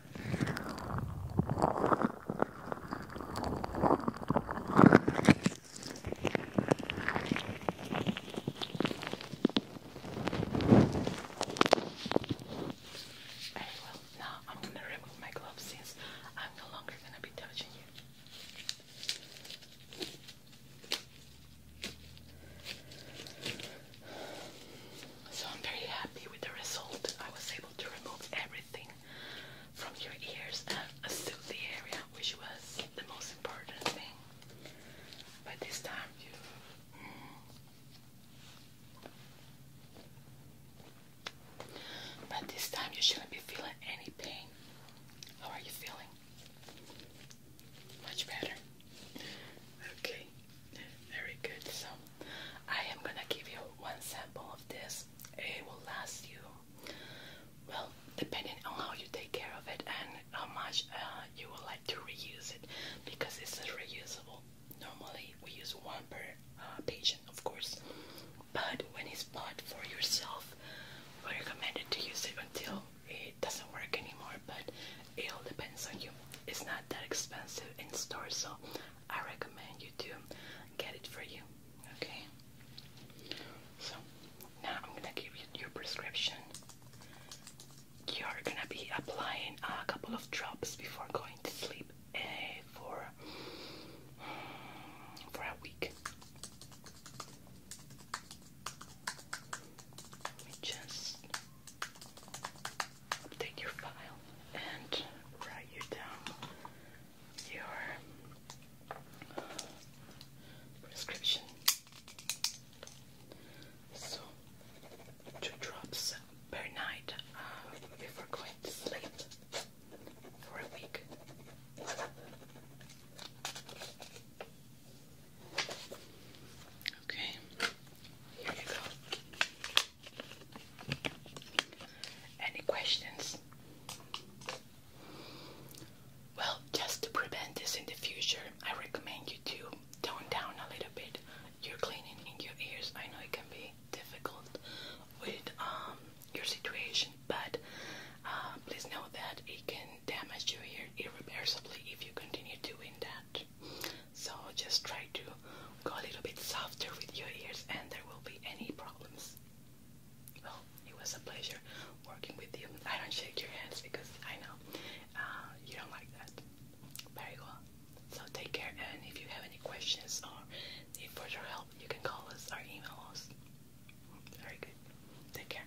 Very well, now I'm gonna remove my gloves since I'm no longer gonna be touching you. So I'm very happy with the result. I was able to remove everything from your ears and soothe the area, which was the most important thing. But this time you. Mm, this time you shouldn't be feeling any pain. How are you feeling? Much better. Okay. Very good. So I am gonna give you one sample of this. It will last you well, depending on how you take care of it and how much uh, you would like to reuse it, because this is reusable. Normally we use one per uh, patient, of course, but when it's bought for yourself, we recommend to use it until it doesn't work anymore. But it all depends on you. It's not that expensive in store, so I recommend you to get it for you. Okay. So now I'm gonna give you your prescription. You're gonna be applying a couple of drops before going to sleep eh, for for a week. Let me just take your file and write you down your uh, prescription. So, two drops per night uh, before going to sleep for a week. Okay, here you go. Any questions? Well, just to prevent this in the future, I recommend you to tone down a little bit your cleaning in your ears. I know it can be difficult with um, your situation, but uh, please know that it can damage your ear irreversibly if you continue doing that. So just try to go a little bit softer with your ears and there will be any problems. Well, it was a pleasure working with you. I don't shake your hands because I know uh, you don't like that. Very well. So take care and if you have any questions or need further help, you can call us or email Very good. Take care.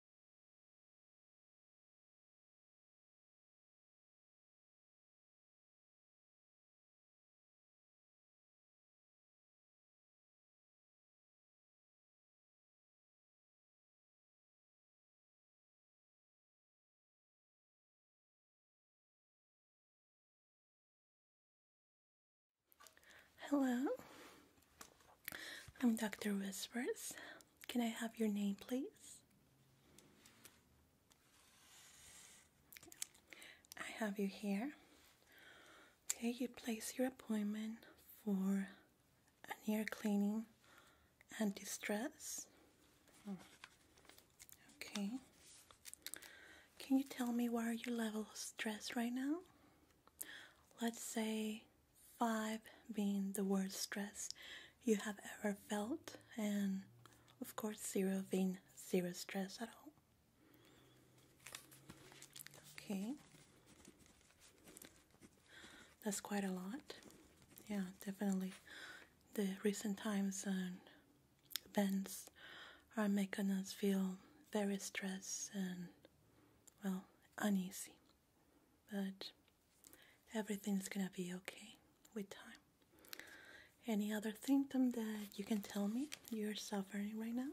Hello, I'm Dr. Whispers. Can I have your name, please? I have you here. Okay, you place your appointment for an ear cleaning and distress. Okay. Can you tell me what are your level of stress right now? Let's say five being the worst stress you have ever felt, and of course, zero being zero stress at all. Okay, that's quite a lot. Yeah, definitely. The recent times and events are making us feel very stressed and, well, uneasy. But Everything's gonna be okay with time. Any other symptom that you can tell me you're suffering right now?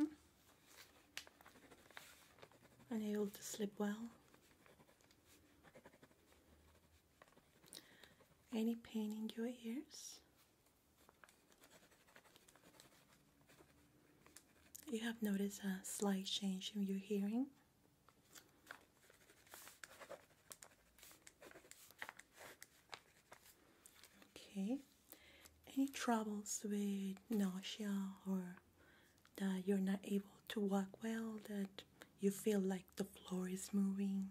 Mm. Unable to sleep well? Any pain in your ears? You have noticed a slight change in your hearing? Okay. Any troubles with nausea or that you're not able to walk well, that you feel like the floor is moving?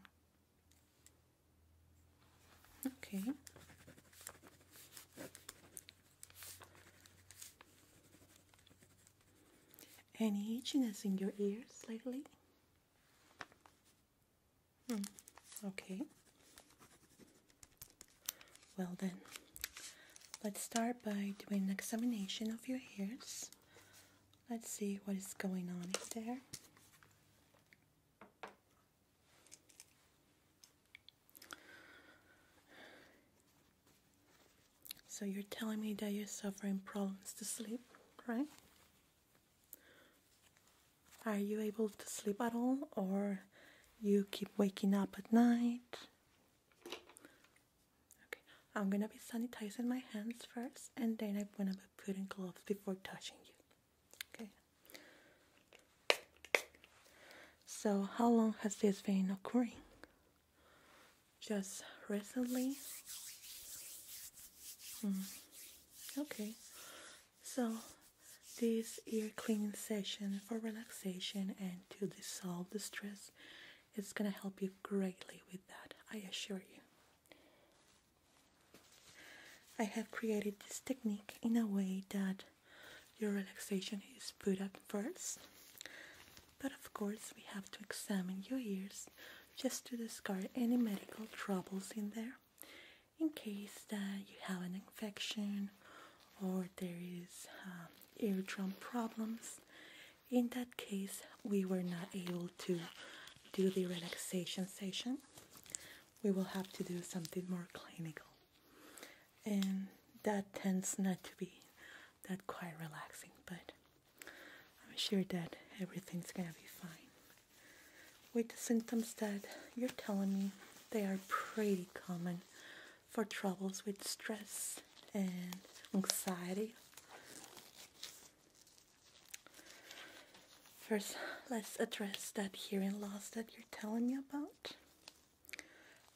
Okay. Any itchiness in your ears lately? Hmm, okay. Well then, let's start by doing an examination of your ears. Let's see what is going on in there. So you're telling me that you're suffering problems to sleep, right? Are you able to sleep at all or you keep waking up at night? Okay, I'm gonna be sanitizing my hands first and then I'm gonna be putting gloves before touching you. Okay. So how long has this been occurring? just recently. Hmm. Okay, so this ear cleaning session for relaxation and to dissolve the stress it's gonna help you greatly with that, I assure you. I have created this technique in a way that your relaxation is put up first but of course, we have to examine your ears just to discard any medical troubles in there in case that you have an infection or there is uh, eardrum problems. In that case, we were not able to do the relaxation session. We will have to do something more clinical. And that tends not to be that quite relaxing, but I'm sure that everything's gonna be fine. With the symptoms that you're telling me, they are pretty common for troubles with stress and anxiety. First, let's address that hearing loss that you're telling me about.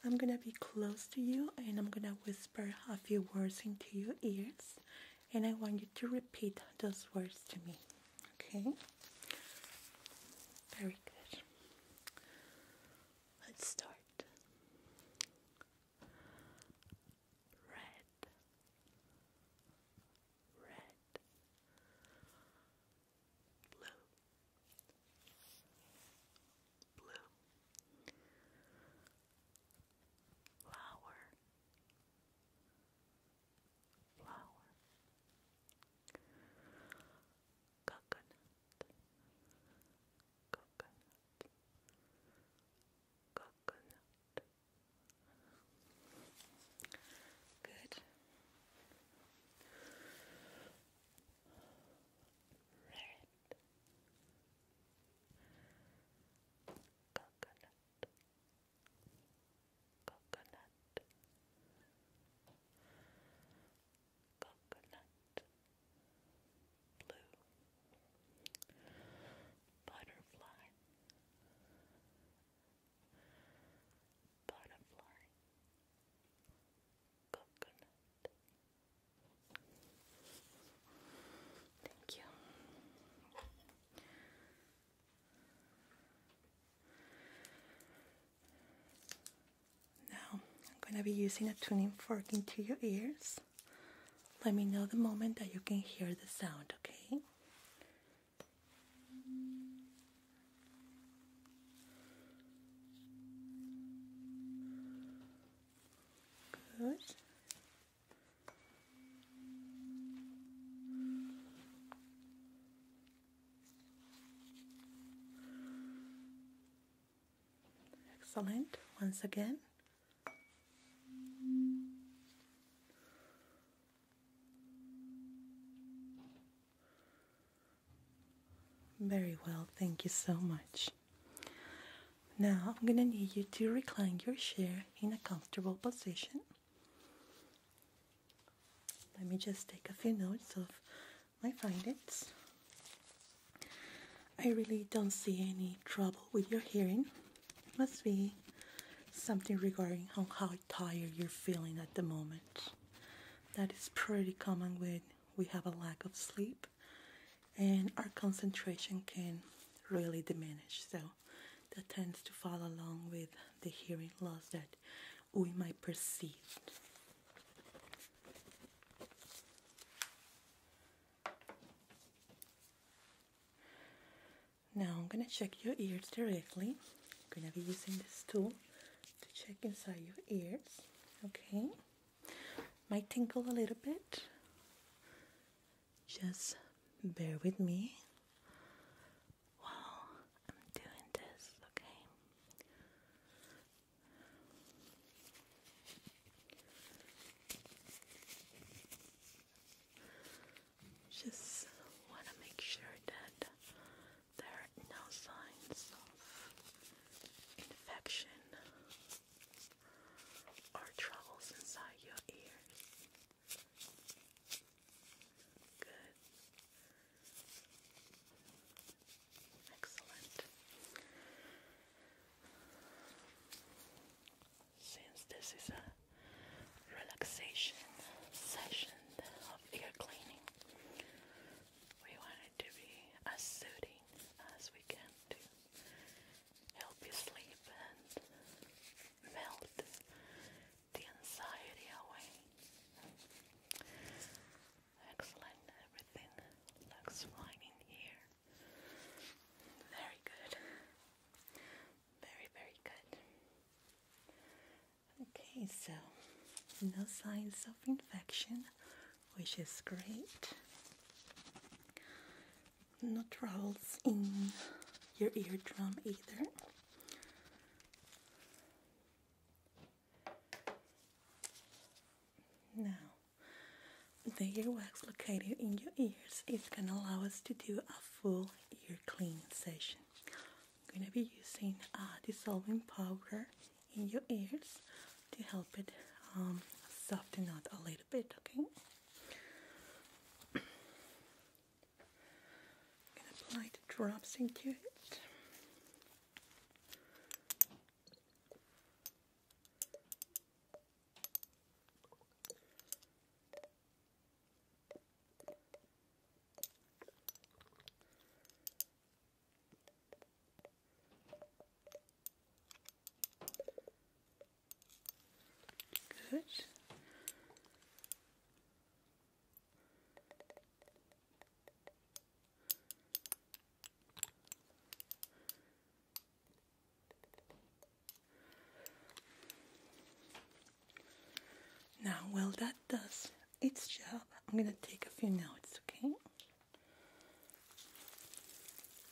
I'm gonna be close to you and I'm gonna whisper a few words into your ears and I want you to repeat those words to me. Okay? Very good. Let's start. Red, red, blue, blue, flower, flower, coconut, coconut, coconut. Good. Red coconut coconut coconut blue butterfly butterfly coconut Thank you. Now, I'm going to be using a tuning fork into your ears. Let me know the moment that you can hear the sound, okay? Good. Excellent. Once again. Very well, thank you so much. Now I'm going to need you to recline your chair in a comfortable position. Let me just take a few notes of my findings. I really don't see any trouble with your hearing. It must be something regarding on how tired you're feeling at the moment. That is pretty common when we have a lack of sleep and our concentration can really diminish. So that tends to fall along with the hearing loss that we might perceive. Now I'm gonna check your ears directly. I'm gonna be using this tool to check inside your ears. Okay. Might tinkle a little bit. Just bear with me while I'm doing this, okay? Just want to make sure that there are no signs of infection or troubles inside your ears. Good. Excellent. Since this is a relaxation session of ear cleaning, we want to be as soothing as we can to help you sleep and melt the anxiety away. Excellent, everything looks fine in here. Very good. Very, very good. Okay, so no signs of infection, which is great no troubles in your eardrum either. Now, the earwax located in your ears is going to allow us to do a full ear cleaning session. I'm going to be using a uh, dissolving powder in your ears to help it um, soften out a little bit, okay? I'm going to apply the drops into it. Good. Now, while that does its job, I'm going to take a few notes, okay?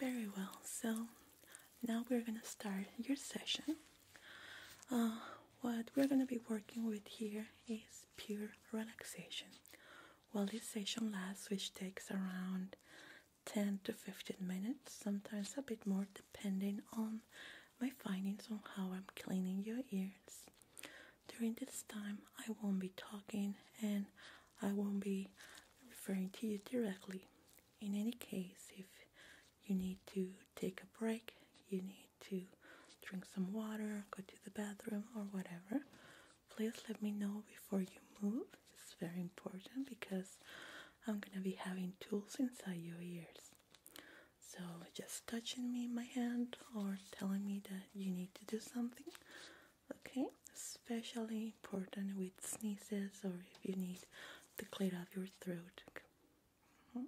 Very well, so now we're gonna start your session. Uh, what we're gonna be working with here is pure relaxation. Well, this session lasts, which takes around 10 to 15 minutes, sometimes a bit more depending on my findings on how I'm cleaning your ears. During this time, I won't be talking and I won't be referring to you directly. In any case, if you need to take a break, you need to drink some water, go to the bathroom, or whatever, please let me know before you move. It's very important because I'm gonna be having tools inside your ears. So just touching me in my hand or telling me that you need to do something, okay? Especially important with sneezes or if you need to clear out your throat. Mm-hmm.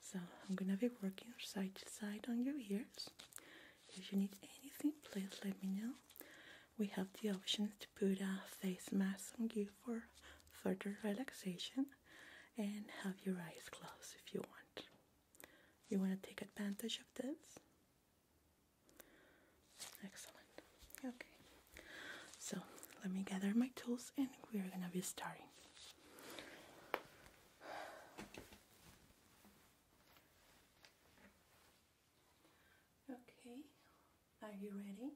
So I'm gonna be working side to side on your ears. If you need anything, please let me know we have the option to put a face mask on you for further relaxation and have your eyes closed if you want. You want to take advantage of this? Excellent. Okay. So let me gather my tools and we're going to be starting. Okay, are you ready?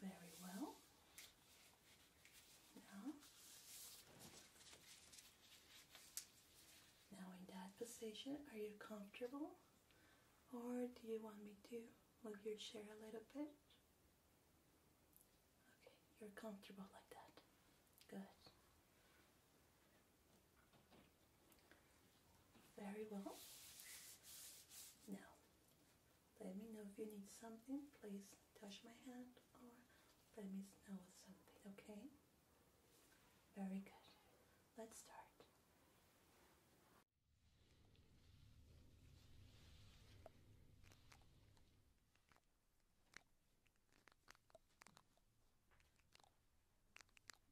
Very well. Now, now in that position, are you comfortable? Or do you want me to move your chair a little bit? Okay, you're comfortable like that. Good. Very well. Now, let me know if you need something. Please touch my hand or let me know with something, okay? Very good. Let's start.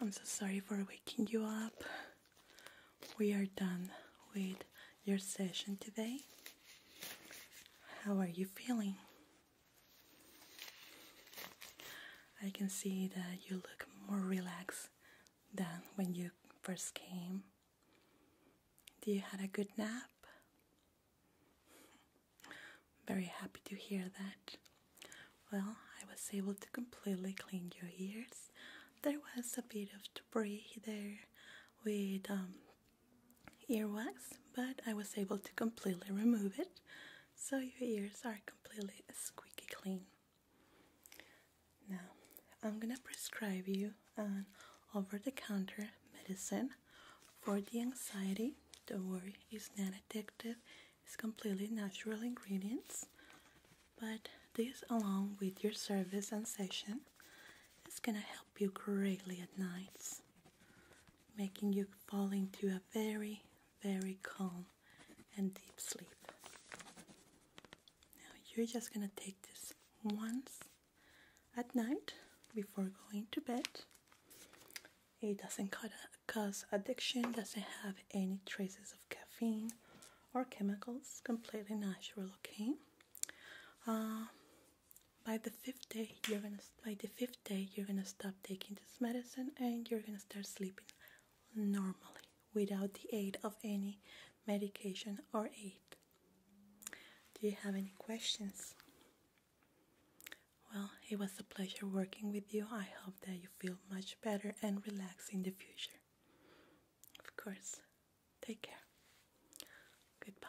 I'm so sorry for waking you up we are done with your session today. How are you feeling? I can see that you look more relaxed than when you first came. Do you had a good nap? Very happy to hear that. Well, I was able to completely clean your ears there was a bit of debris there with um, earwax, but I was able to completely remove it, so your ears are completely squeaky clean. Now, I'm gonna prescribe you an over-the-counter medicine for the anxiety. Don't worry, it's not addictive. It's completely natural ingredients but this along with your service and session is gonna help you greatly at nights making you fall into a very very calm and deep sleep now you're just gonna take this once at night before going to bed it doesn't cause addiction doesn't have any traces of caffeine or chemicals, completely natural, okay? Uh, by the fifth day you're gonna by the fifth day you're gonna stop taking this medicine and you're gonna start sleeping normally without the aid of any medication or aid. Do you have any questions? Well, it was a pleasure working with you. I hope that you feel much better and relaxed in the future. Of course. Take care. Goodbye.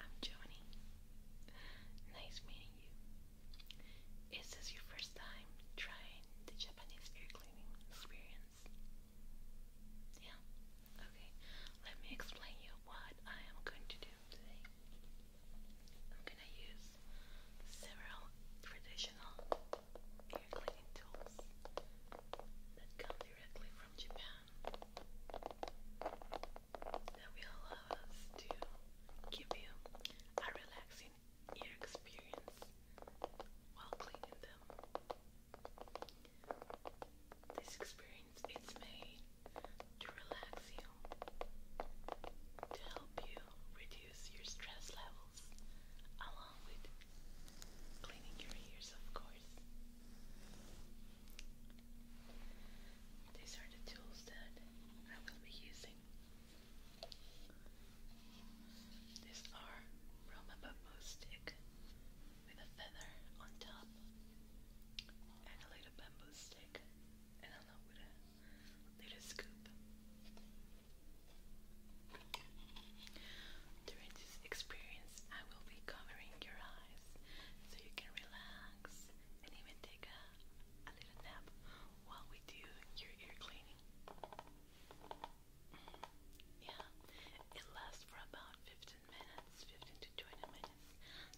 I'm Joni. Nice meeting you. Is this your first time trying the Japanese ear cleaning experience? Yeah? Okay. Let me explain you what I am going to do today. I'm gonna use several traditional ear cleaning tools that come directly from Japan that will allow us to give you a relaxing ear experience while cleaning them. This experience is made to relax you, to help you reduce your stress levels, along with cleaning your ears, of course. These are the tools that I will be using. These are Roma bamboo stick with a feather on top and a little bamboo stick and a with a little scoop. During this experience, I will be covering your eyes so you can relax and even take a a little nap while we do your ear cleaning. Mm, yeah, it lasts for about 15 minutes, 15 to 20 minutes,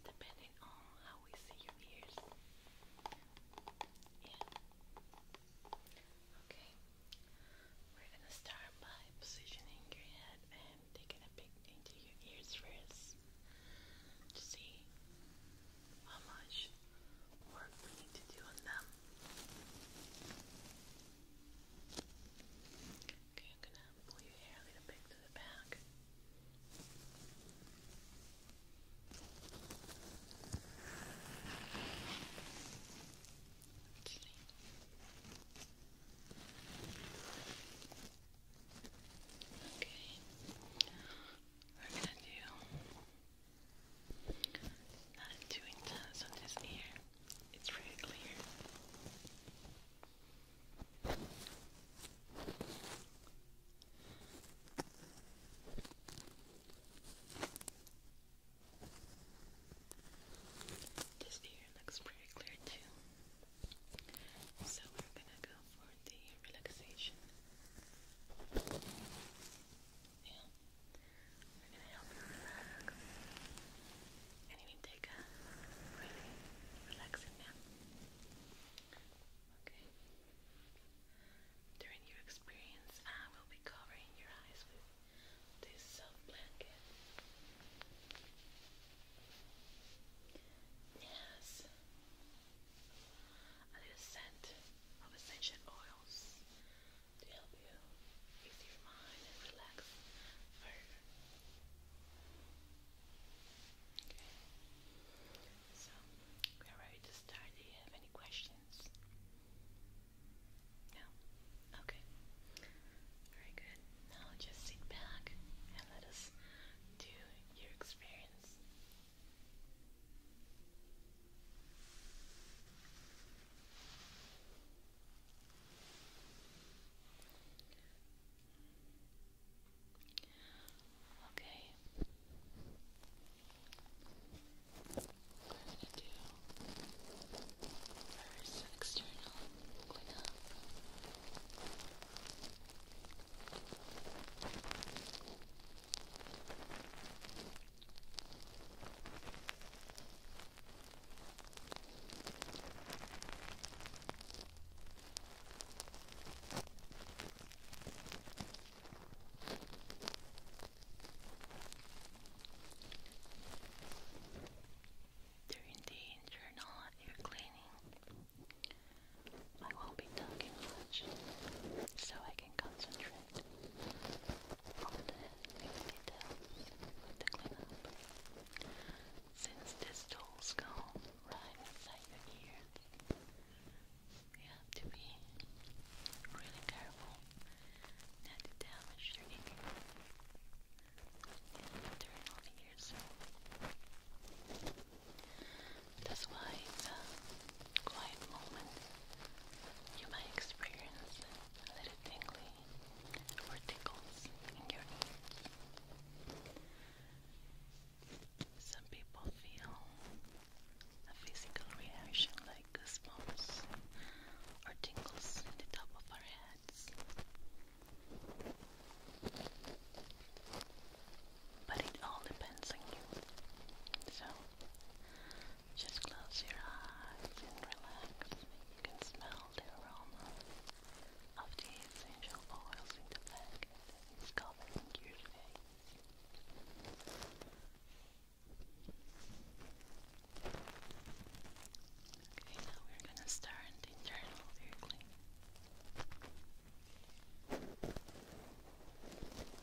depending on how we see your ears. Yeah. Okay, we're gonna start by positioning your head and taking a peek into your ears first to see how much work we need to do on them. Okay, I'm gonna pull your hair a little bit to the back. Okay. Okay. We're gonna do not too intense on this ear. It's really clear. This ear looks pretty clear too. So we're gonna go for the relaxation. Yeah, we're gonna help you relax. And you take a really relaxing nap. Okay. During your experience, I will be covering your eyes with this soft blanket. Yes, I do scent of essential oils to help you ease your mind and relax Okay, so we are ready to start. Do you have any questions? No? Okay. Very good. Now just sit back and let us do your experience. Okay. What I'm going to do first external cleanup. Okay. During the internal air cleaning, I won't be talking much so I can concentrate on the details of the cleanup. Since these tools go right inside your ear, you have to be really careful not to damage your ear and internal ears. That's why in the quiet moment you might experience a little tingly or tickles in your ears. Some people feel a physical reaction like goosebumps or tingles in the top of our heads. But it all depends on you. So just close your eyes and relax. You can smell the aroma of the essential oils in the blanket that is your face. Okay, now we're gonna start the internal ear cleaning.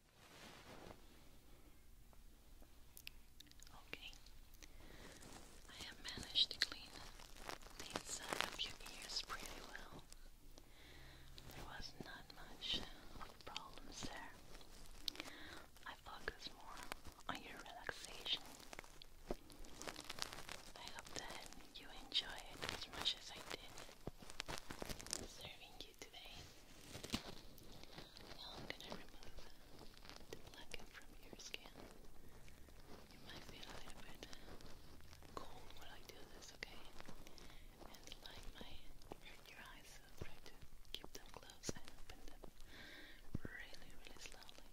Okay, I have managed to clean the inside of your ears pretty well. There was not much of problems there. I focus more on your relaxation. I hope that you enjoy it as much as I did serving you you today. I'm gonna remove the blacken from your skin. You might feel a bit cold while I do this, okay? And like my your eyes, try to keep them closed and open them really, really slowly.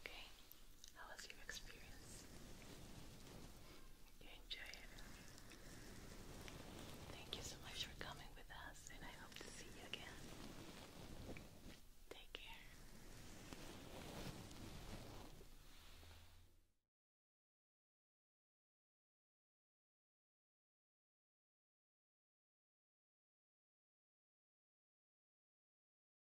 Okay, how was your experience? You enjoy it? Thank you so much for coming with us, and I hope to see you again. Take care.